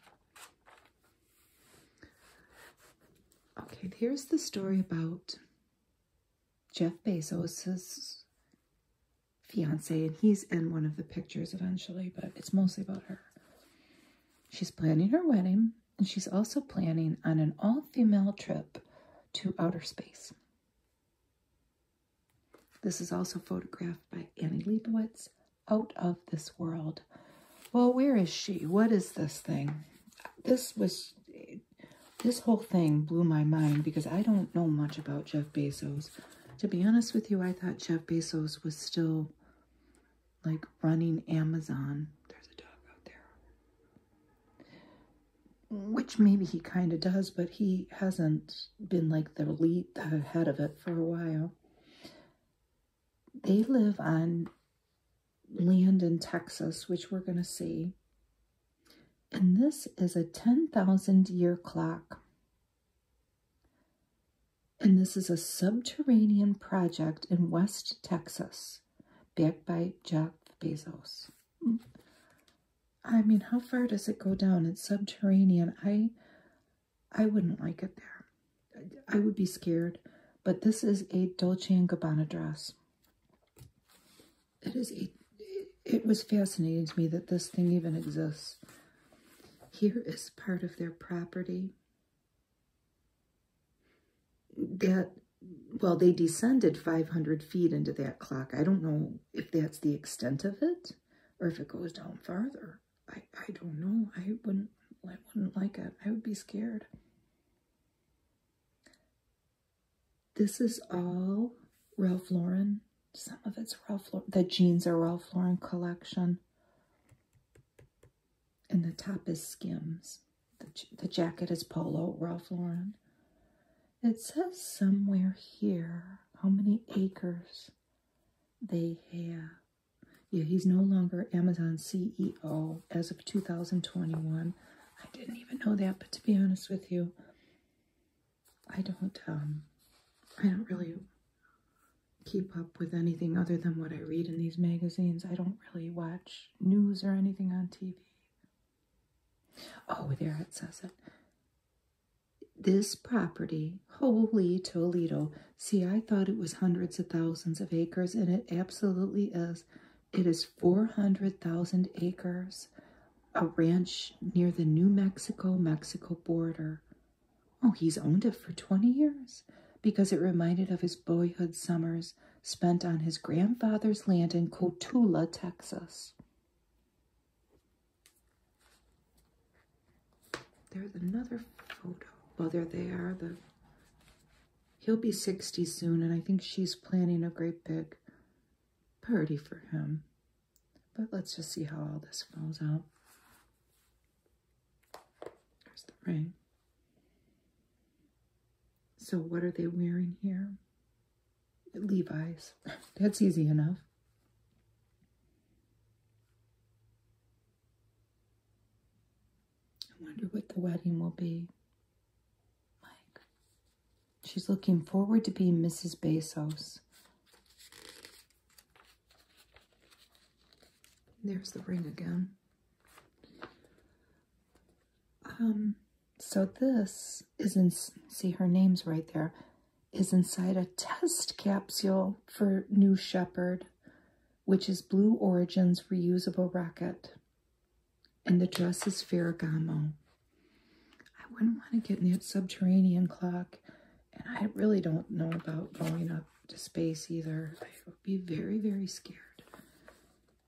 Okay, here's the story about Jeff Bezos's fiance, and he's in one of the pictures eventually, but it's mostly about her. She's planning her wedding, and she's also planning on an all-female trip to outer space. This is also photographed by Annie Leibovitz, Out of This World. Well, where is she? What is this thing? This was this whole thing blew my mind because I don't know much about Jeff Bezos. To be honest with you, I thought Jeff Bezos was still like running Amazon. There's a dog out there. Which maybe he kind of does, but he hasn't been like the lead, head of it for a while. They live on land in Texas, which we're going to see. And this is a 10,000 year clock. And this is a subterranean project in West Texas, backed by Jeff Bezos. I mean, how far does it go down? It's subterranean. I, I wouldn't like it there. I would be scared. But this is a Dolce & Gabbana dress it is it, it was fascinating to me that this thing even exists. Here is part of their property that well they descended 500 feet into that clock i don't know if that's the extent of it or if it goes down farther i i don't know i wouldn't i wouldn't like it i would be scared this is all Ralph Lauren. Some of it's Ralph Lauren. The jeans are Ralph Lauren collection. And the top is Skims. The, the jacket is Polo Ralph Lauren. It says somewhere here how many acres they have. Yeah, he's no longer Amazon CEO as of 2021. I didn't even know that, but to be honest with you, I don't um I don't really keep up with anything other than what I read in these magazines. I don't really watch news or anything on TV. Oh, there it says it. This property, holy Toledo. See, I thought it was hundreds of thousands of acres, and it absolutely is. It is 400,000 acres, a ranch near the New Mexico Mexico border. Oh, he's owned it for 20 years because it reminded of his boyhood summers spent on his grandfather's land in Cotula, Texas. There's another photo. Well, there they are, the He'll be 60 soon, and I think she's planning a great big party for him. But let's just see how all this falls out. There's the ring. So, what are they wearing here? Levi's. *laughs* That's easy enough. I wonder what the wedding will be. Mike. She's looking forward to being Mrs. Bezos. There's the ring again. Um, so this is in, see her name's right there, is inside a test capsule for New Shepard, which is Blue Origin's reusable rocket and the dress is Ferragamo. I wouldn't want to get in that subterranean clock, and I really don't know about going up to space either. I would be very, very scared.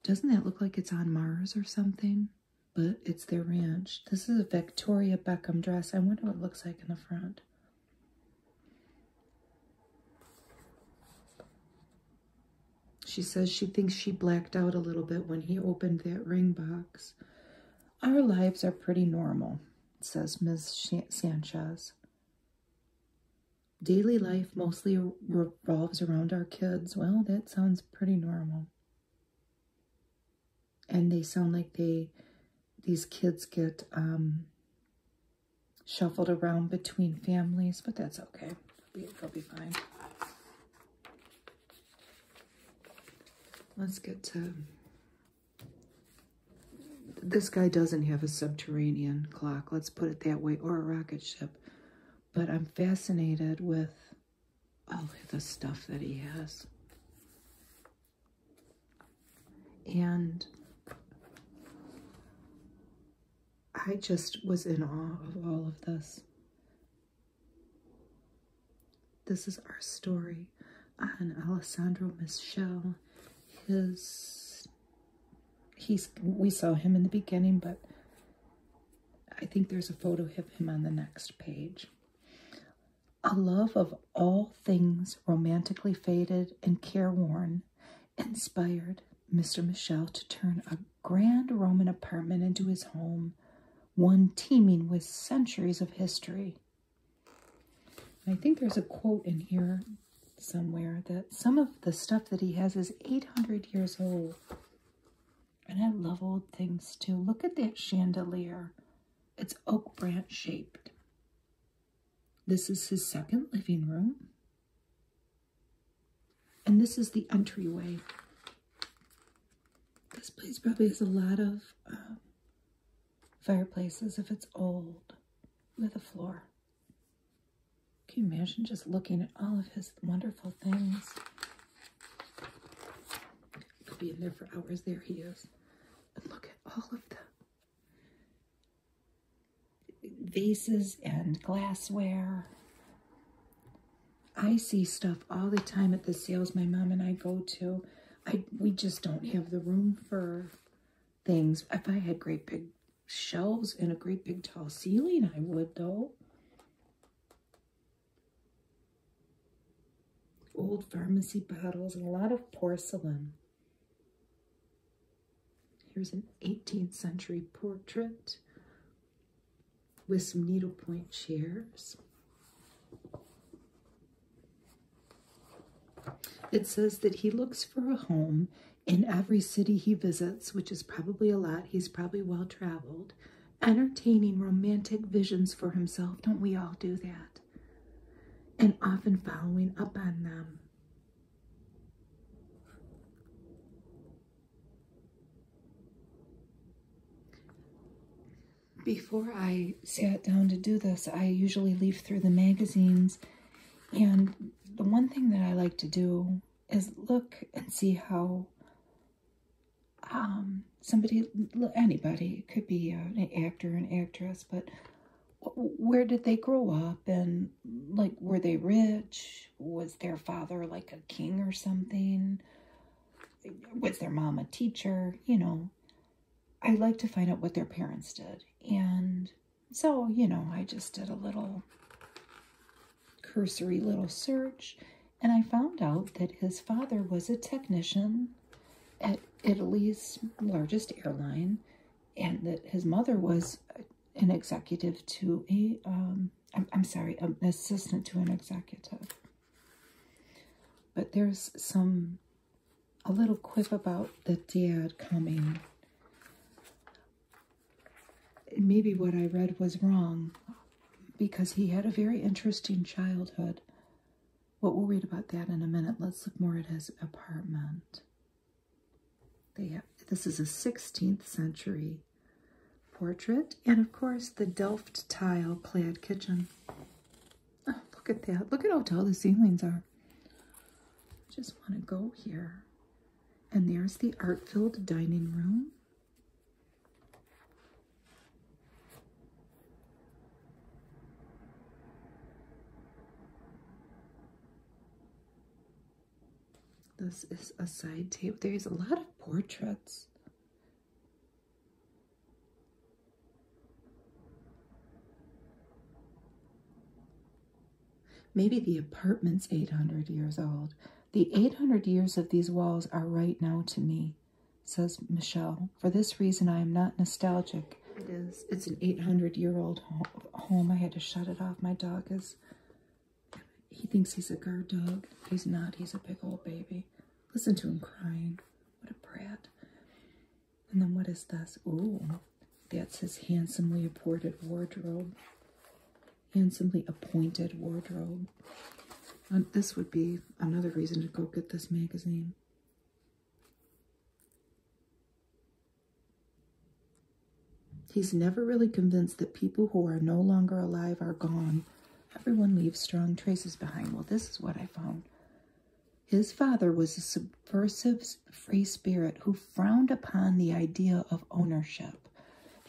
Doesn't that look like it's on Mars or something? But it's the ranch. This is a Victoria Beckham dress. I wonder what it looks like in the front. She says she thinks she blacked out a little bit when he opened that ring box. Our lives are pretty normal, says Miss Sanchez. Daily life mostly revolves around our kids. Well, that sounds pretty normal. And they sound like they, these kids get um, shuffled around between families, but that's okay. they they'll be fine. Let's get to... This guy doesn't have a subterranean clock, let's put it that way, or a rocket ship. But I'm fascinated with all of the stuff that he has. And I just was in awe of all of this. This is our story on Alessandro Michele. His he's we saw him in the beginning, but I think there's a photo of him on the next page. A love of all things romantically faded and careworn inspired Mr. Michelle to turn a grand Roman apartment into his home, one teeming with centuries of history. I think there's a quote in here somewhere that some of the stuff that he has is 800 years old. And I love old things too. Look at that chandelier. It's oak branch shaped. This is his second living room. And this is the entryway. This place probably has a lot of um, fireplaces if it's old with a floor. Can you imagine just looking at all of his wonderful things? Could be in there for hours. There he is. And look at all of the vases and glassware I see stuff all the time at the sales my mom and I go to. I we just don't have the room for things. If I had great big shelves and a great big tall ceiling, I would though. Old pharmacy bottles and a lot of porcelain. Here's an 18th century portrait with some needlepoint chairs. It says that he looks for a home in every city he visits, which is probably a lot. He's probably well traveled. Entertaining romantic visions for himself. Don't we all do that? And often following up on them. Before I sat down to do this, I usually leaf through the magazines. And the one thing that I like to do is look and see how um, somebody, anybody, could be an actor, an actress, but where did they grow up and like were they rich was their father like a king or something with their mom a teacher? You know, I like to find out what their parents did. And so, you know, I just did a little cursory little search and I found out that his father was a technician at Italy's largest airline and that his mother was an executive to a, um, I'm sorry, an assistant to an executive. But there's some, a little quip about the diad coming. Maybe what I read was wrong because he had a very interesting childhood. What we'll read about that in a minute. Let's look more at his apartment. They have, this is a 16th century portrait, and of course the Delft tile clad kitchen. Oh, look at that. Look at how tall the ceilings are. I just want to go here. And there's the art-filled dining room. This is a side table. There's a lot of portraits. Maybe the apartment's 800 years old. The 800 years of these walls are right now to me, says Michelle. For this reason, I am not nostalgic. It is. It's an 800 year old home. I had to shut it off. My dog is. He thinks he's a guard dog. He's not. He's a big old baby. Listen to him crying. What a brat. And then what is this? Oh, that's his handsomely appointed wardrobe. Handsomely appointed wardrobe. this would be another reason to go get this magazine. He's never really convinced that people who are no longer alive are gone, Everyone leaves strong traces behind. Well, this is what I found. His father was a subversive free spirit who frowned upon the idea of ownership.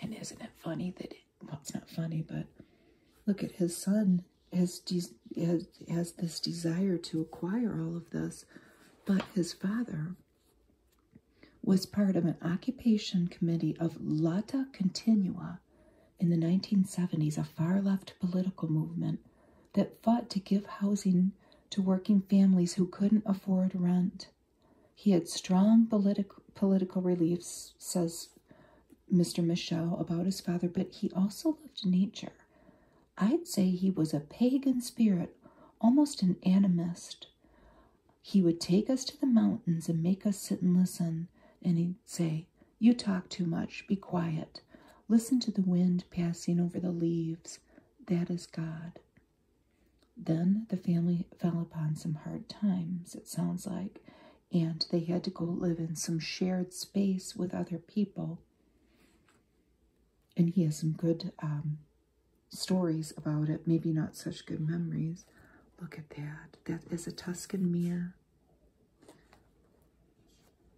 And isn't it funny that, it, well, it's not funny, but look at his son has, has, has this desire to acquire all of this, but his father was part of an occupation committee of Lata Continua, in the 1970s a far left political movement that fought to give housing to working families who couldn't afford rent. He had strong politic, political beliefs, says Mr. Michel, about his father, but he also loved nature. I'd say he was a pagan spirit, almost an animist. He would take us to the mountains and make us sit and listen, and he'd say, you talk too much. Be quiet. Listen to the wind passing over the leaves. That is God. Then the family fell upon some hard times, it sounds like, and they had to go live in some shared space with other people. And he has some good um, stories about it, maybe not such good memories. Look at that. That is a Tuscan mirror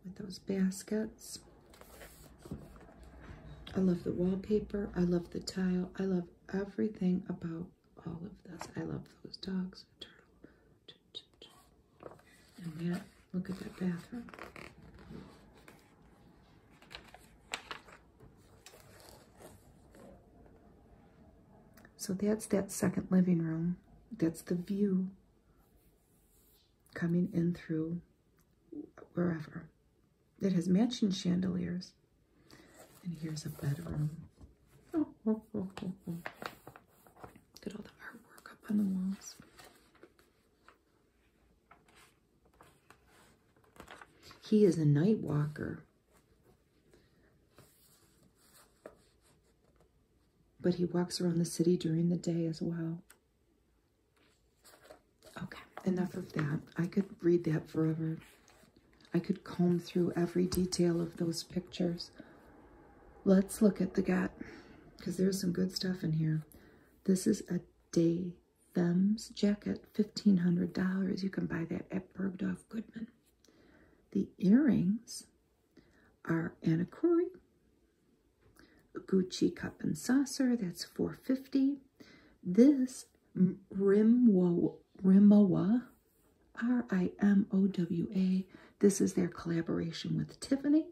with those baskets. I love the wallpaper. I love the tile. I love everything about all of this. I love those dogs. Turtle. And yeah, look at that bathroom. So that's that second living room. That's the view coming in through wherever. It has mansion chandeliers. And here's a bedroom. Oh, oh, oh, Look at all the artwork up on the walls. He is a night walker. But he walks around the city during the day as well. Okay, enough of that. I could read that forever. I could comb through every detail of those pictures. Let's look at the gap because there's some good stuff in here. This is a Day Thames jacket, $1,500. You can buy that at Bergdorf Goodman. The earrings our Anakuri, Gucci cup and saucer, that's 450. This Rimwa, Rimowa, R-I-M-O-W-A, this is their collaboration with Tiffany.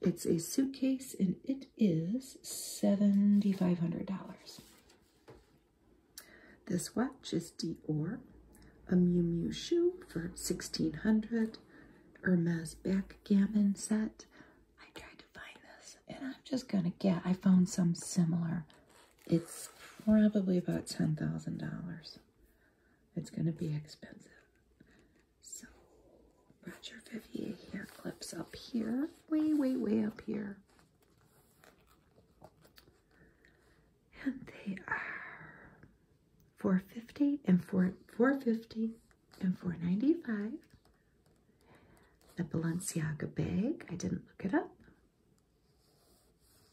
It's a suitcase and it is $7,500. This watch is Dior a Miu Miu shoe for 1600 Hermes backgammon set. I tried to find this and I'm just going to get, I found some similar. It's probably about $10,000. It's going to be expensive. So, Roger Vivier hair clips up here, way, way, way up here and they are 450 and 4 450 and 495 the Balenciaga bag I didn't look it up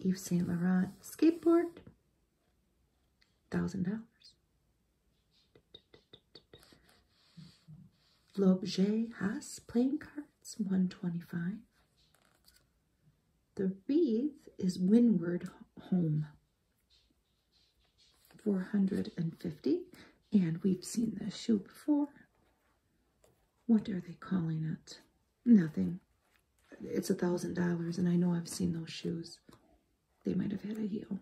Yves Saint Laurent skateboard thousand dollars L'Objet Haas playing cards 125 the wreath is Windward Home. 450 and we've seen this shoe before. What are they calling it? Nothing. It's a thousand dollars and I know I've seen those shoes. They might have had a heel.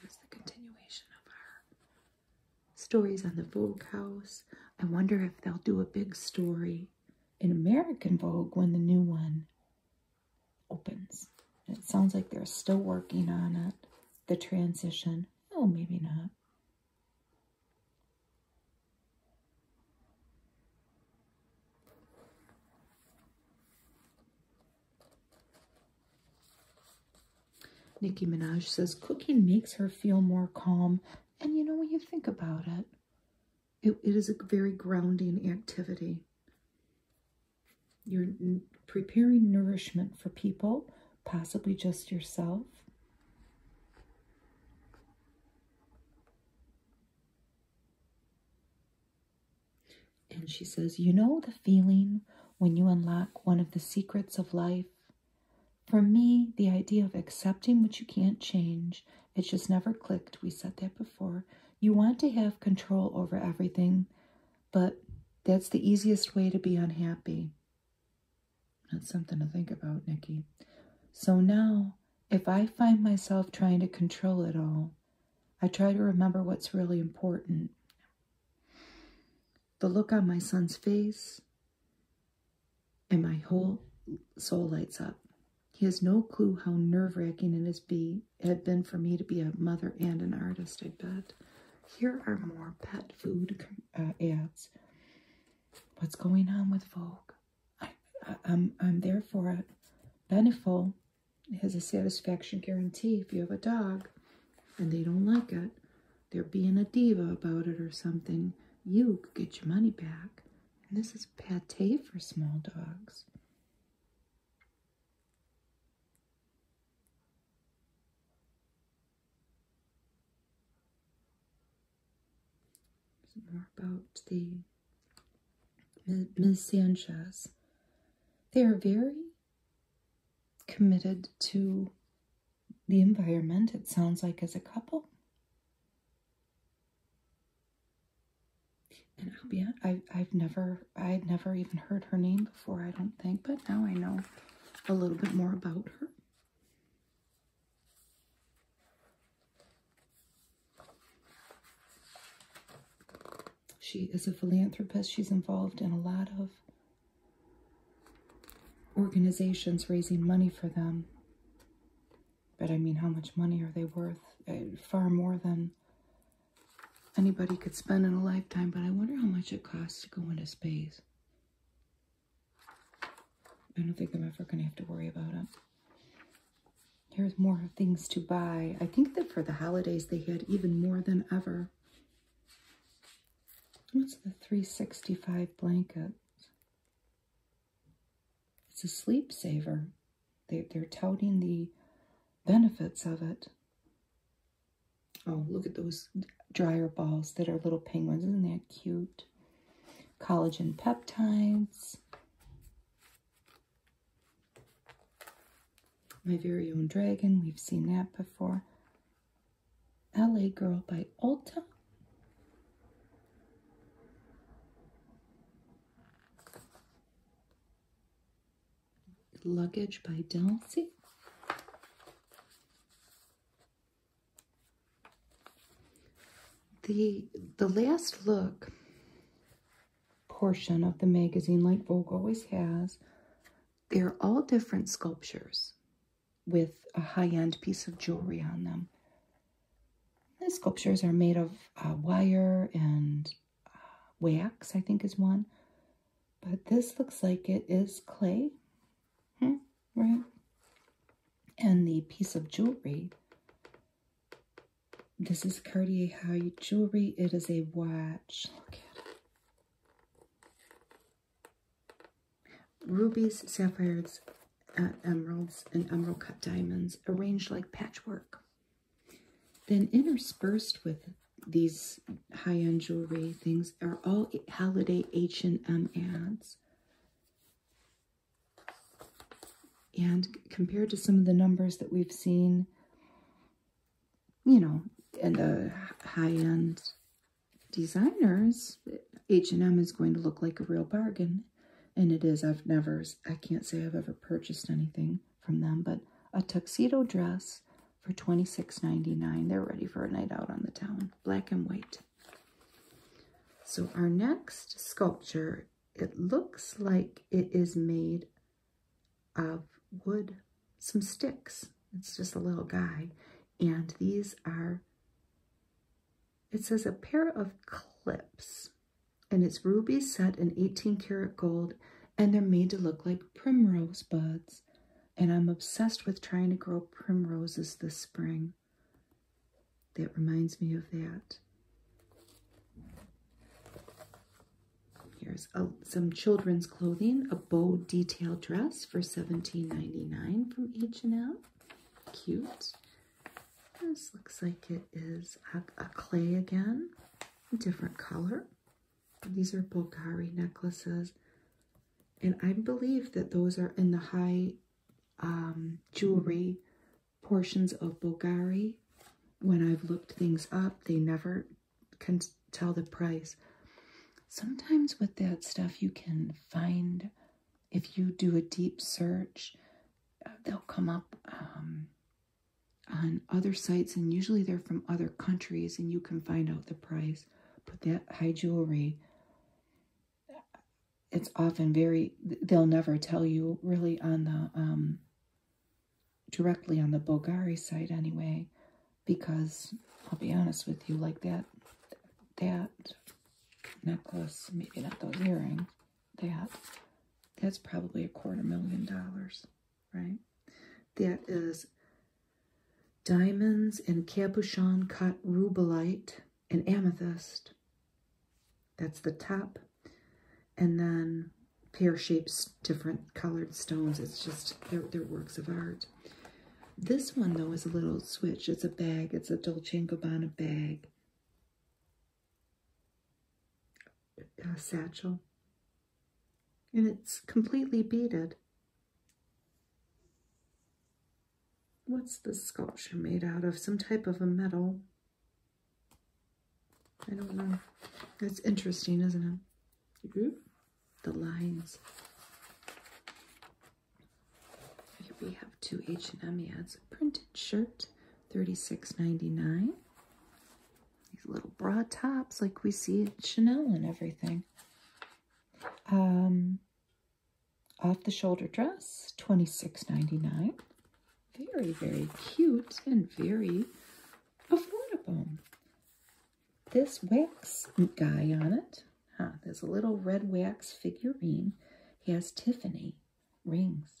Here's the continuation of our stories on the Vogue house. I wonder if they'll do a big story in American Vogue when the new one opens. It sounds like they're still working on it, the transition. Oh, maybe not. Nicki Minaj says cooking makes her feel more calm. And you know, when you think about it, it, it is a very grounding activity. You're preparing nourishment for people, possibly just yourself. And she says, You know the feeling when you unlock one of the secrets of life? For me, the idea of accepting what you can't change it just never clicked. We said that before. You want to have control over everything, but that's the easiest way to be unhappy. That's something to think about, Nikki. So now, if I find myself trying to control it all, I try to remember what's really important. The look on my son's face, and my whole soul lights up. He has no clue how nerve wracking it has been for me to be a mother and an artist. I bet. Here are more pet food uh, ads. What's going on with Vogue? I, I'm I'm there for it. Beneful has a satisfaction guarantee if you have a dog, and they don't like it. They're being a diva about it or something. You get your money back. And this is pate for small dogs. More about the Ms. Sanchez. They are very committed to the environment, it sounds like, as a couple. And I'll be I I've never I'd never even heard her name before, I don't think, but now I know a little bit more about her. She is a philanthropist. She's involved in a lot of organizations raising money for them. But I mean, how much money are they worth? Uh, far more than anybody could spend in a lifetime, but I wonder how much it costs to go into space. I don't think I'm ever going to have to worry about it. Here's more things to buy. I think that for the holidays, they had even more than ever. What's the 365 blankets? It's a sleep saver. They, are touting the benefits of it. Oh, look at those dryer balls that are little penguins. Isn't that cute? Collagen peptides. My Very Own Dragon, we've seen that before. LA Girl by Ulta. Luggage by Delsey. The, the last look portion of the magazine, like Vogue always has, they're all different sculptures with a high-end piece of jewelry on them. The sculptures are made of uh, wire and uh, wax, I think is one. But this looks like it is clay, hmm, right? And the piece of jewelry, this is Cartier High Jewelry. It is a watch. Rubies, sapphires, uh, emeralds, and emerald cut diamonds arranged like patchwork. Then interspersed with these high-end jewelry things are all holiday H&M ads. And compared to some of the numbers that we've seen, you know, in the high-end designers, H&M is going to look like a real bargain and it is I've never I can't say I've ever purchased anything from them, but a tuxedo dress for $26.99. They're ready for a night out on the town. Black and white. So our next sculpture, it looks like it is made of wood, some sticks. It's just a little guy. And these are, it says a pair of clips and it's rubies set in 18 karat gold and they're made to look like primrose buds and i'm obsessed with trying to grow primroses this spring that reminds me of that here's some children's clothing a bow detail dress for 17.99 from h&m cute this looks like it is a, clay again, different color. These are Bulgari necklaces. And I believe that those are in the high um, jewelry portions of Bulgari. When I've looked things up, they never can tell the price. Sometimes with that stuff, you can find, if you do a deep search, uh, they'll come up um, on other sites, and usually they're from other countries, and you can find out the price. But that high jewelry, it's often very, they'll never tell you really on the, um, directly on the Bulgari site anyway, because I'll be honest with you, like that, that necklace, maybe not those earrings, that, that's probably a quarter million dollars, right? That is diamonds and capuchon cut rubellite and amethyst. That's the top. And then pear shapes, different colored stones. It's just, they're, they're works of art. This one, though, is a little switch. It's a bag. It's a Dolce & Gabbana bag. Uh, satchel. And it's completely beaded. What's the sculpture made out of? Some type of a metal. I don't know. It's interesting, isn't it? Mm-hmm. the lines. Here we have two H&M ads. A printed shirt Thirty-six ninety-nine. These little broad tops like we see at Chanel and everything. Um, off the shoulder dress, twenty-six ninety-nine. Very, very cute and very affordable. This wax guy on it, huh, there's a little red wax figurine. He has Tiffany rings.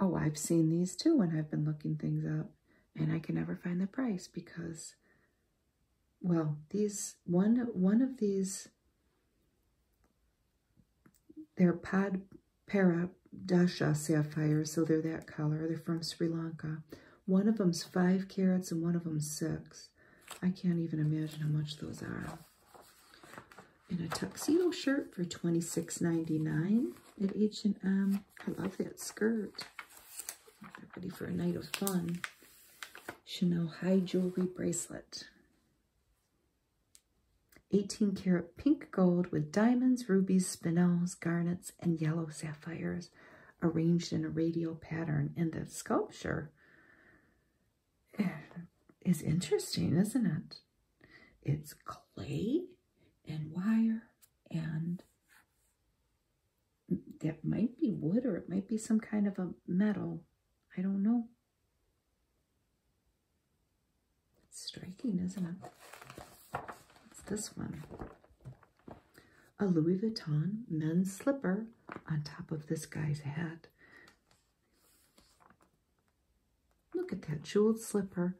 Oh, I've seen these too when I've been looking things up, and I can never find the price because, well, these one one of these. They're pod para dasha sapphire, so they're that color. They're from Sri Lanka. One of them's five carats and one of them's six. I can't even imagine how much those are. And a tuxedo shirt for $26.99 at H&M. I love that skirt. ready for a night of fun. Chanel High Jewelry Bracelet. 18 karat pink gold with diamonds, rubies, spinels, garnets, and yellow sapphires arranged in a radial pattern. And the sculpture is interesting, isn't it? It's clay and wire and that might be wood or it might be some kind of a metal. I don't know. It's striking, isn't it? It's this one. A Louis Vuitton men's slipper on top of this guy's head. Look at that jeweled slipper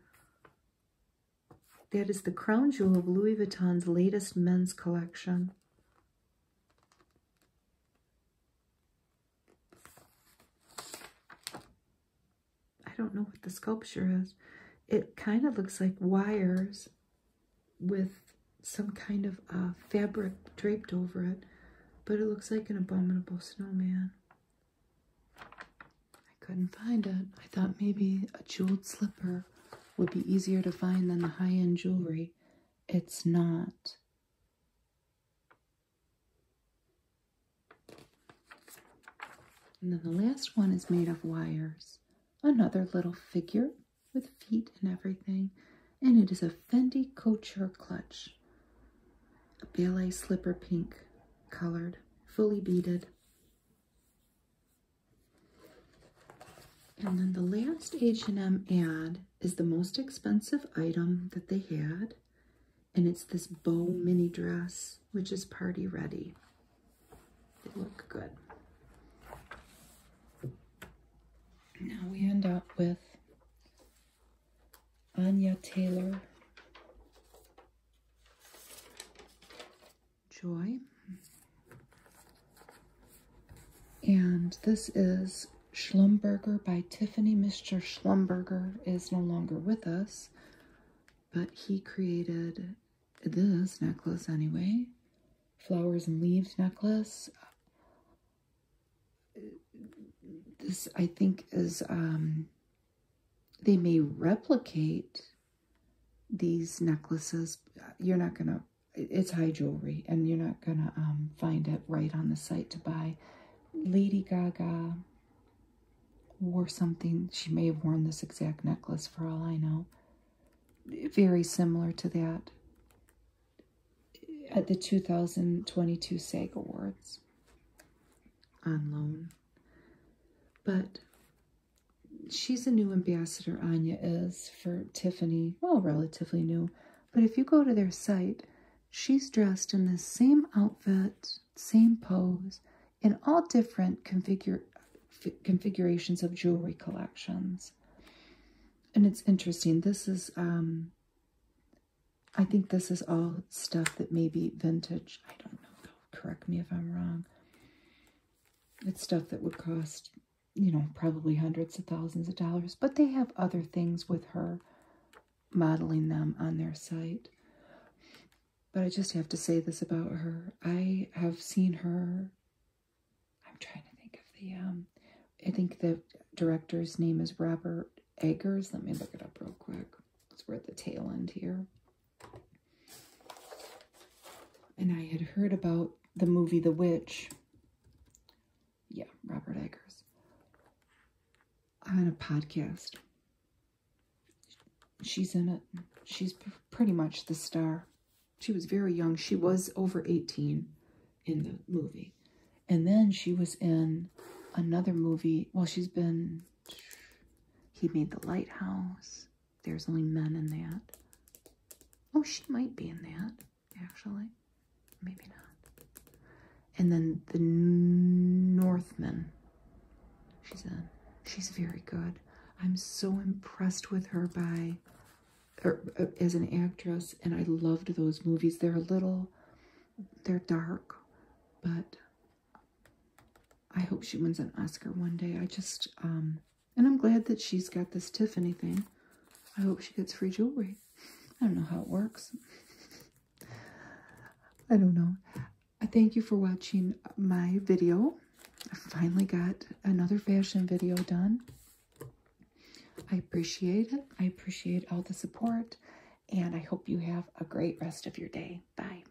that is the crown jewel of Louis Vuitton's latest men's collection. I don't know what the sculpture is. It kind of looks like wires with some kind of uh, fabric draped over it, but it looks like an abominable snowman. I couldn't find it. I thought maybe a jeweled slipper would be easier to find than the high end jewelry. It's not. And then the last one is made of wires. Another little figure with feet and everything. And it is a Fendi Couture clutch. A ballet slipper pink colored, fully beaded. And then the last H&M ad is the most expensive item that they had. And it's this bow mini dress, which is party ready. They look good. Now we end up with Anya Taylor Joy. And this is Schlumberger by Tiffany. Mr. Schlumberger is no longer with us, but he created this necklace anyway. Flowers and leaves necklace. This, I think, is um, they may replicate these necklaces. You're not going to, it's high jewelry, and you're not going to um, find it right on the site to buy. Lady Gaga wore something. She may have worn this exact necklace for all I know. Very similar to that at the 2022 SAG Awards on loan. But she's a new ambassador, Anya is, for Tiffany. Well, relatively new. But if you go to their site, she's dressed in the same outfit, same pose, in all different configure, configurations of jewelry collections. And it's interesting. This is, um, I think this is all stuff that may be vintage. I don't know, correct me if I'm wrong. It's stuff that would cost, you know, probably hundreds of thousands of dollars. But they have other things with her modeling them on their site. But I just have to say this about her. I have seen her, I'm trying to think of the, um, I think the director's name is Robert Eggers. Let me look it up real quick. Because we're at the tail end here. And I had heard about the movie The Witch. Yeah, Robert Eggers. On a podcast. She's in it. She's pretty much the star. She was very young. She was over 18 in the movie. And then she was in another movie. Well, she's been... He made The Lighthouse there's only men in that. Oh, she might be in that, actually. Maybe not. And then the Northman. She's in. She's very good. I'm so impressed with her by or, uh, as an actress, and I loved those movies. They're a little, they're dark, but I hope she wins an Oscar one day. I just, um, and I'm glad that she's got this Tiffany thing. I hope she gets free jewelry. I don't know how it works. I don't know. I thank you for watching my video. I finally got another fashion video done. I appreciate it. I appreciate all the support. And I hope you have a great rest of your day. Bye.